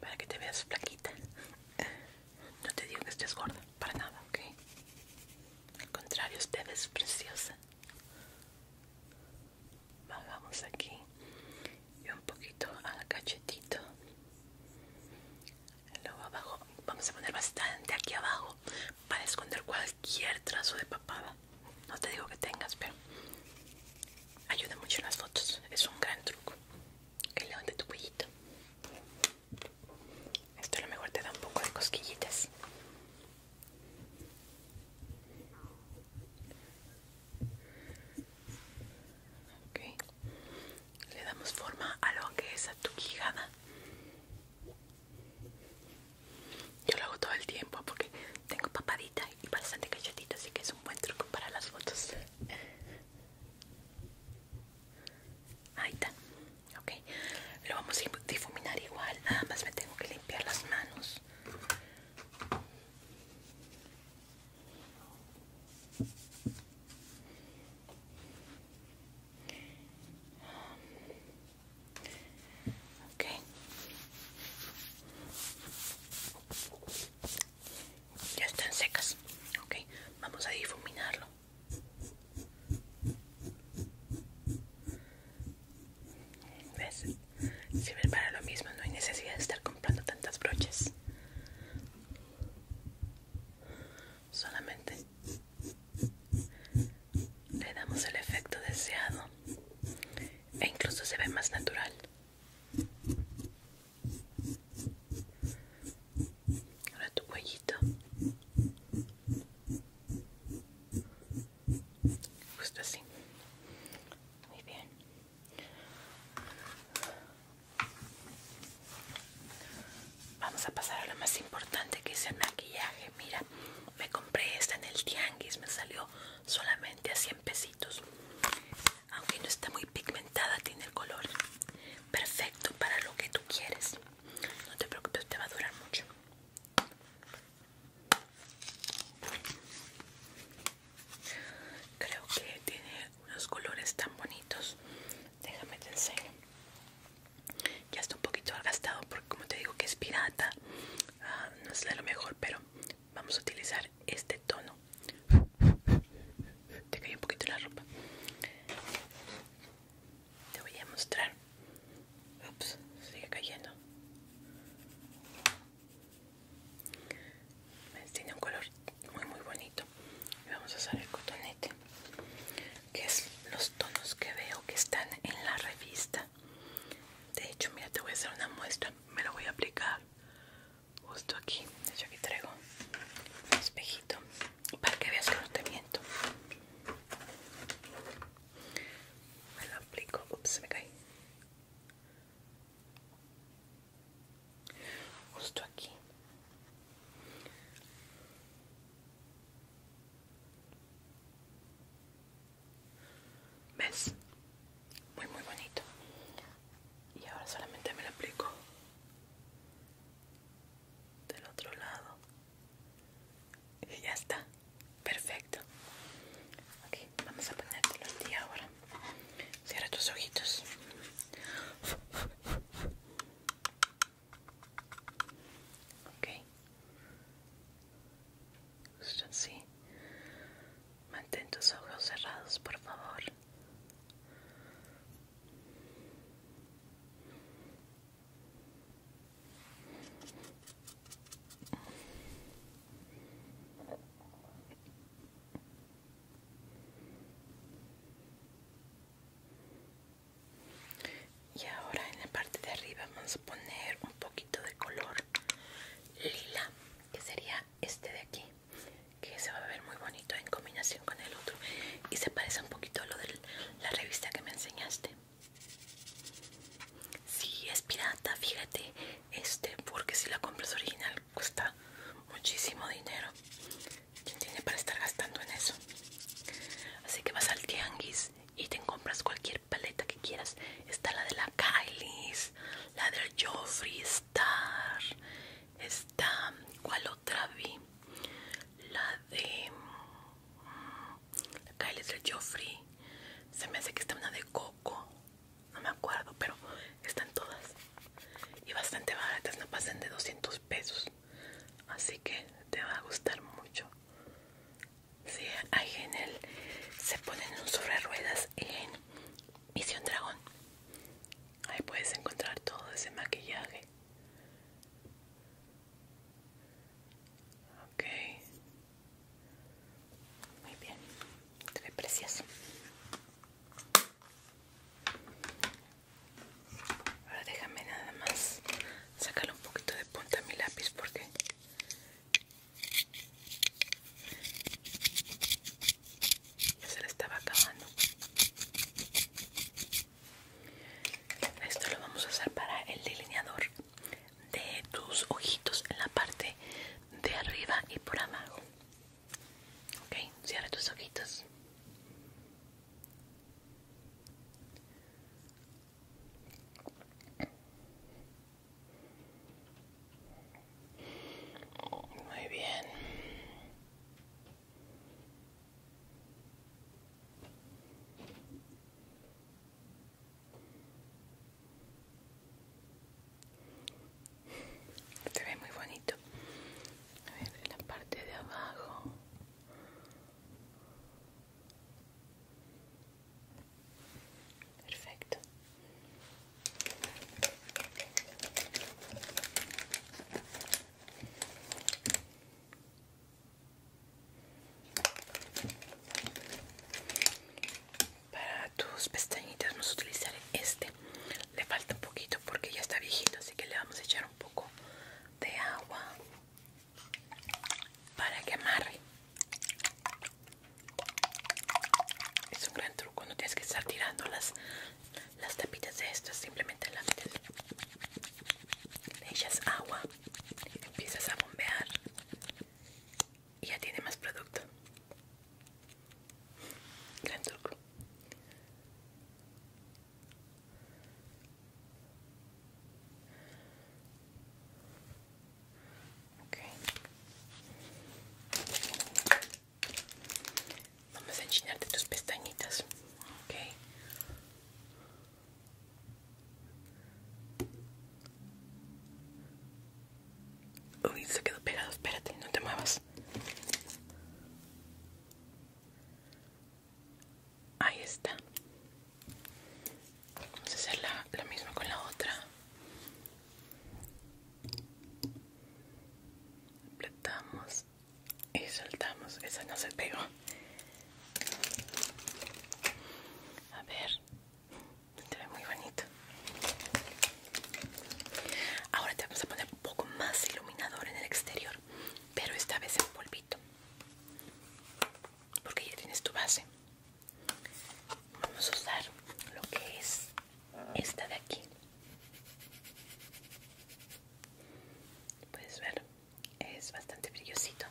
para que te veas flaquita no te digo que estés gorda para nada ok al contrario usted es preciosa bajamos aquí y un poquito al cachetito luego abajo vamos a poner bastante aquí abajo para esconder cualquier trazo de papada no te digo que tengas pero ayuda mucho en las fotos es un gran truco que de tu cuellito esto a lo mejor te da un poco de cosquillitas Okay le damos forma a lo que es a tu quijada yo lo hago todo el tiempo porque tengo papadita y bastante cachetito así que es un buen truco para las fotos ahí está ok lo vamos a difuminar igual nada más me tengo que limpiar las manos Okay, Ya están secas. Ok, vamos a difuminarlo. ¿Ves? Sirve para lo mismo, no hay necesidad de estar comprando tantas brochas solamente le damos el efecto deseado e incluso se ve más natural. Ahora tu cuellito. Justo así. Muy bien. Vamos a pasar a lo más importante que es el maquillaje. Mira, me compré esta en el tianguis, me salió solamente a 100 pesitos. Aunque no está muy pigmentada, tiene el color perfecto para lo que tú quieres. No te preocupes, te va a durar mucho. Creo que tiene unos colores tan bonitos. Déjame te enseño ya está un poquito gastado porque como te digo que es pirata ah, no es de lo mejor pero vamos a utilizar este tono te cae un poquito la ropa te voy a mostrar ups sigue cayendo tiene un color muy muy bonito vamos a usar el cotonete que es los tonos que veo que están en la revista de hecho mira te voy a hacer una muestra me lo voy a aplicar justo aquí de hecho aquí traigo un espejito para que veas que no te miento me lo aplico ups me cae justo aquí ¿Ves? Muy, muy bonito. Y ahora solamente me lo aplico del otro lado. Y ya está. Perfecto. Ok, vamos a ponértelo lo ahora. Cierra tus ojitos. Okay, Justo así. Mantén tus ojos cerrados, por favor y ahora en la parte de arriba vamos a poner un poquito de color lila que sería este de aquí que se va a ver muy bonito en combinación con el otro y se parece un poquito a lo de la revista que me enseñaste si sí, es pirata fíjate este porque si la compras original cuesta muchísimo dinero ¿Quién tiene para estar gastando en eso? Así que vas al tianguis y te compras cualquier paleta que quieras. Está la de la Kylie, la del Joffrey Star, está, ¿cuál otra vi? La de mm, la Kylie del Joffrey. Se me hace que está una de Coco, no me acuerdo, pero están todas. Y bastante baratas, no pasan de 200 pesos así que te va a gustar mucho si hay ahí en él se ponen un sobre ruedas en Misión Dragón ahí puedes encontrar todo ese maquillaje ok muy bien te precioso Ahora déjame nada más sacarle un poquito de punta a mi lápiz porque ya se le estaba acabando. Esto lo vamos a hacer para el delineador de tus ojitos en la parte de arriba y por abajo. Ok, cierra tus ojitos. Muy bien. Se ve muy bonito. A ver, en la parte de abajo. Perfecto. Para tus pestañitas vamos a utilizar este. Le falta un poquito porque ya está viejito, así que le vamos a echar un poco de agua para que amarre. Es un gran truco, no tienes que estar tirando las, las tapitas de estas, simplemente la Le echas agua, empiezas a bombear y ya tiene más producto. Gran truco. Vamos a enchinarte tus pestañitas, ok. Uy, se quedó pegado, espérate, no te muevas. Ahí está. Vamos a hacer la, la misma con la otra. Apretamos y soltamos. Esa no se pegó. A ver. Te ve muy bonito. Ahora te vamos a poner un poco más iluminador en el exterior, pero esta vez en polvito porque ya tienes tu base vamos a usar lo que es esta de aquí puedes ver es bastante brillosito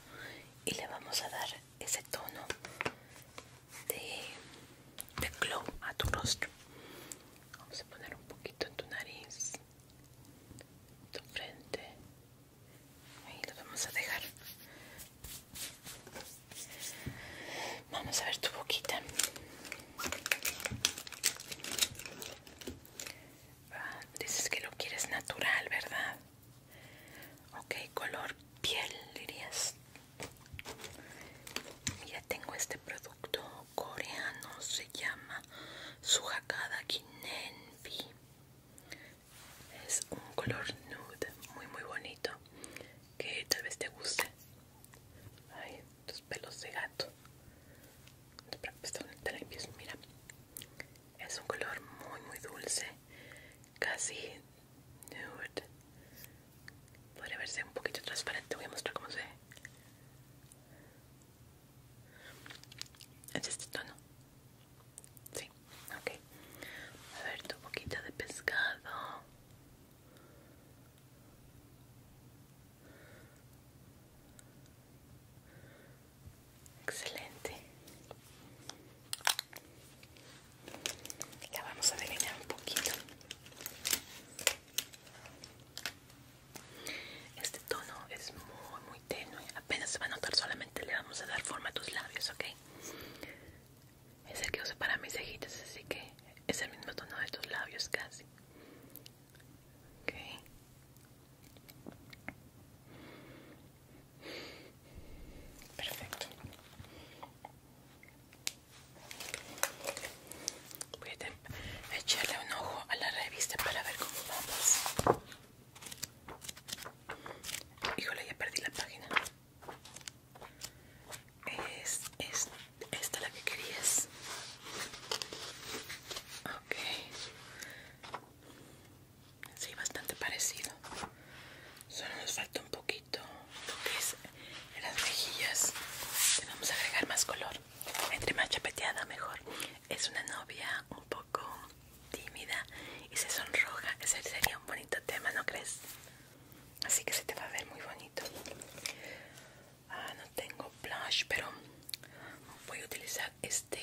y le vamos a dar ese tono de, glow a tu rostro vamos a poner un poquito en tu nariz tu frente ahí lo vamos a dejar vamos a ver tu boquita ah, dices que lo quieres natural verdad ok color piel dirías ya tengo este producto coreano se llama Suhakada Kinen es un color nude muy muy bonito que tal vez te guste Ay, tus pelos de gato te mira es un color muy muy dulce casi nude Puede verse un poquito transparente, voy a mostrar cómo se ve es este tono. Sí, ok. A ver tu poquita de pescado. Excelente. Ya vamos a delinear un poquito. Este tono es muy muy tenue, apenas se va a notar, solamente le vamos a dar forma a tus labios, ¿ok? Es el que uso para mis cejitas, así que es el mismo tono de tus labios casi. Perfecto. Voy a echarle un ojo a la revista para ver cómo vamos. Híjole, ya perdí la página. Es, esta la que querías. Ok. Sí, bastante parecido. Solo nos falta un poquito lo que es en las mejillas. vamos a agregar más color. Entre más chapeteada, mejor. Es una novia un poco tímida y se sonroja, ese sería un bonito tema, ¿no crees? Así que se te va a ver muy bonito. Ah, no tengo blush, pero voy a utilizar este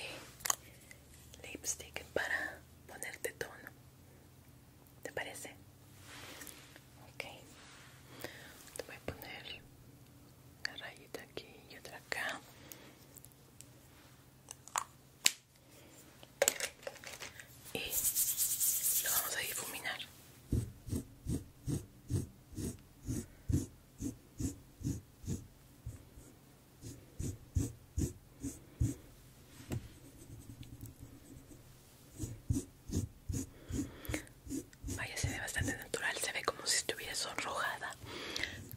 lipstick para ponerte tono. ¿Te parece? Ok. Te voy a poner una rayita aquí y otra acá y lo vamos a difuminar Vaya, se ve bastante natural, se ve como si estuviera sonrojada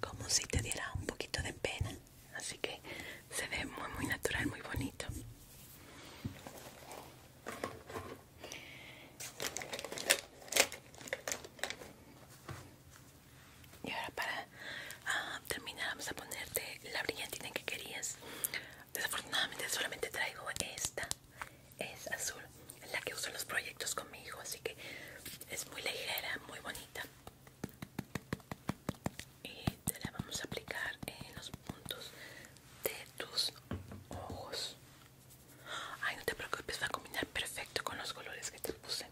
como si te diera un poquito de pena así que se ve muy muy natural muy bonito y ahora para ah, terminar vamos a ponerte la brillantina que querías desafortunadamente solamente traigo esta es azul es la que uso en los proyectos conmigo así que es muy ligera, muy bonita y te la vamos a aplicar en los puntos de tus ojos. Ay, no te preocupes, va a combinar perfecto con los colores que te puse.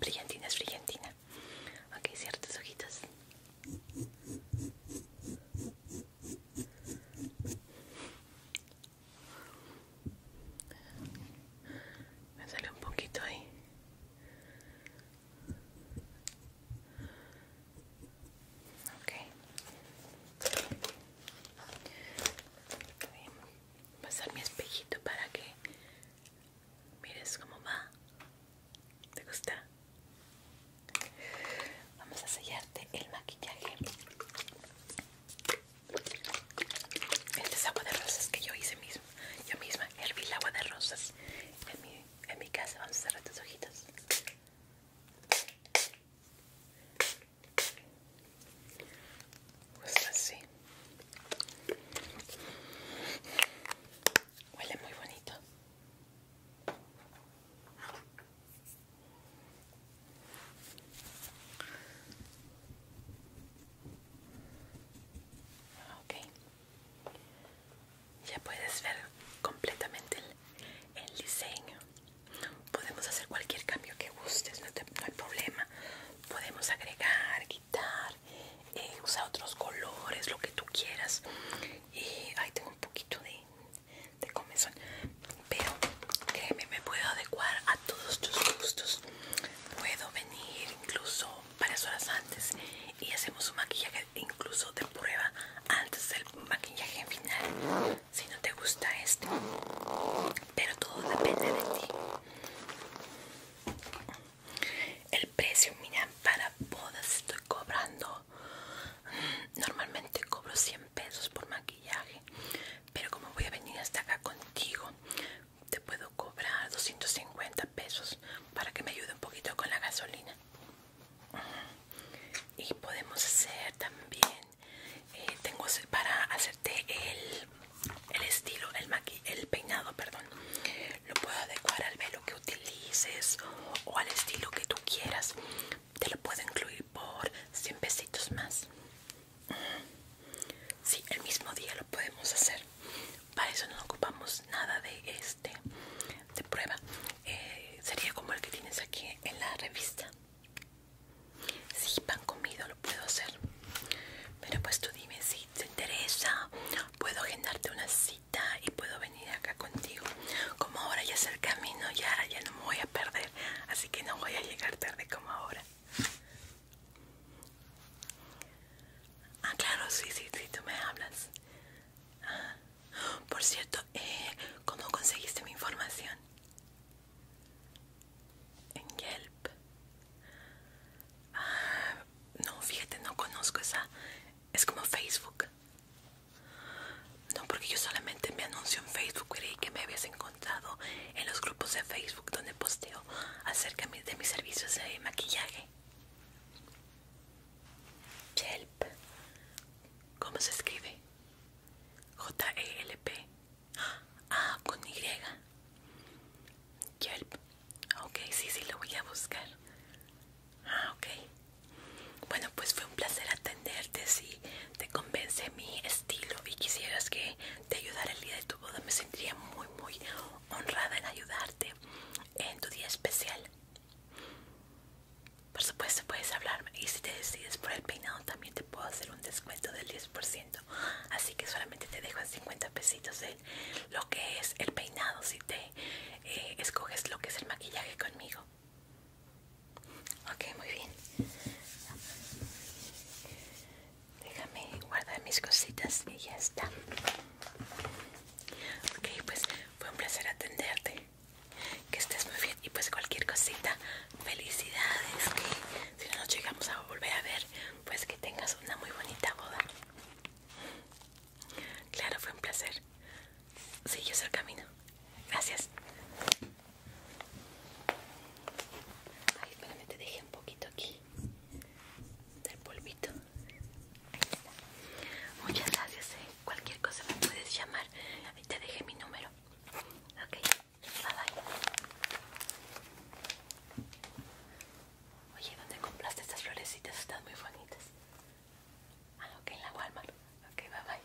Brillantina es brillantina. Ok, cierra tus ojitos. Me sale un poquito ahí. Voy a pasar mi espejito para que mires cómo va. ¿Te gusta? Vamos a sellarte el maquillaje este agua de rosas que yo hice misma, Yo misma herví el agua de rosas en mi, casa. Vamos a cerrar tus hojitas. Pues así. Huele muy bonito. Ok, ya puedes ver completamente el, diseño. Podemos hacer cualquier cambio que gustes, no, hay problema. Podemos agregar, quitar, eh, usar otros colores, lo que tú quieras. Y ahí tengo un poquito de, de pero créeme me puedo adecuar a todos tus gustos puedo venir incluso varias horas antes y hacemos un maquillaje incluso de prueba antes del maquillaje final si no te gusta este pero todo depende de ti el precio mira para bodas estoy cobrando mm, normalmente cobro 100 pesos por maquillaje pero como voy a venir hasta acá contigo te puedo cobrar 250 pesos para que me ayude un poquito con la gasolina y podemos hacer también eh, tengo para hacerte el, estilo el el peinado perdón lo puedo adecuar al velo que utilices o al estilo que tú quieras te lo puedo incluir por 100 pesitos más sí, el mismo día lo podemos hacer para eso no ocupamos nada de este de prueba eh, sería como el que tienes aquí en la revista si pan comido lo puedo hacer pero pues tú dime si te interesa puedo agendarte una cita y puedo venir acá contigo como ahora ya es el camino y ahora ya no me voy a perder así que no voy a llegar tarde como ahora Ah, claro, sí, sí, sí, tú me hablas. Por cierto, eh, ¿cómo conseguiste mi información? En Yelp. Ah, no, fíjate, no conozco esa. Es como Facebook. No, porque yo solamente me anuncio en Facebook y que me habías encontrado en los grupos de Facebook donde posteo acerca de mis servicios de maquillaje. Yelp. ¿Cómo se escribe? J-E-L-P. Ah, con Y. Yelp. Ok, sí, sí, lo voy a buscar. Ah, ok. Bueno, pues fue un placer atenderte, sí te convence mi estilo y quisieras que te ayudara el día de tu boda, me sentiría muy, muy honrada en ayudarte en tu día especial. Por supuesto, puedes hablarme y si te decides por el peinado, también te puedo hacer un descuento del 10%. Así que solamente te dejo en 50 pesitos de lo que es el peinado si te eh, escoges lo que es el maquillaje conmigo. Ok, muy bien. Déjame guardar mis cositas y ya está. Ok, pues fue un placer atenderte. Que estés muy bien y pues cualquier cosita, felicidades. Que si no nos llegamos a volver a ver, pues que tengas una muy bonita boda. Claro, fue un placer. Sí, yo el camino. Gracias. Ay, me te dejé un poquito aquí del polvito. Muchas gracias, eh. cualquier cosa me puedes llamar. mí te dejé mi número. Ok, bye bye. Oye, ¿dónde compraste estas florecitas? Están muy bonitas. Ah, ok, en la Walmart. Ok, bye bye.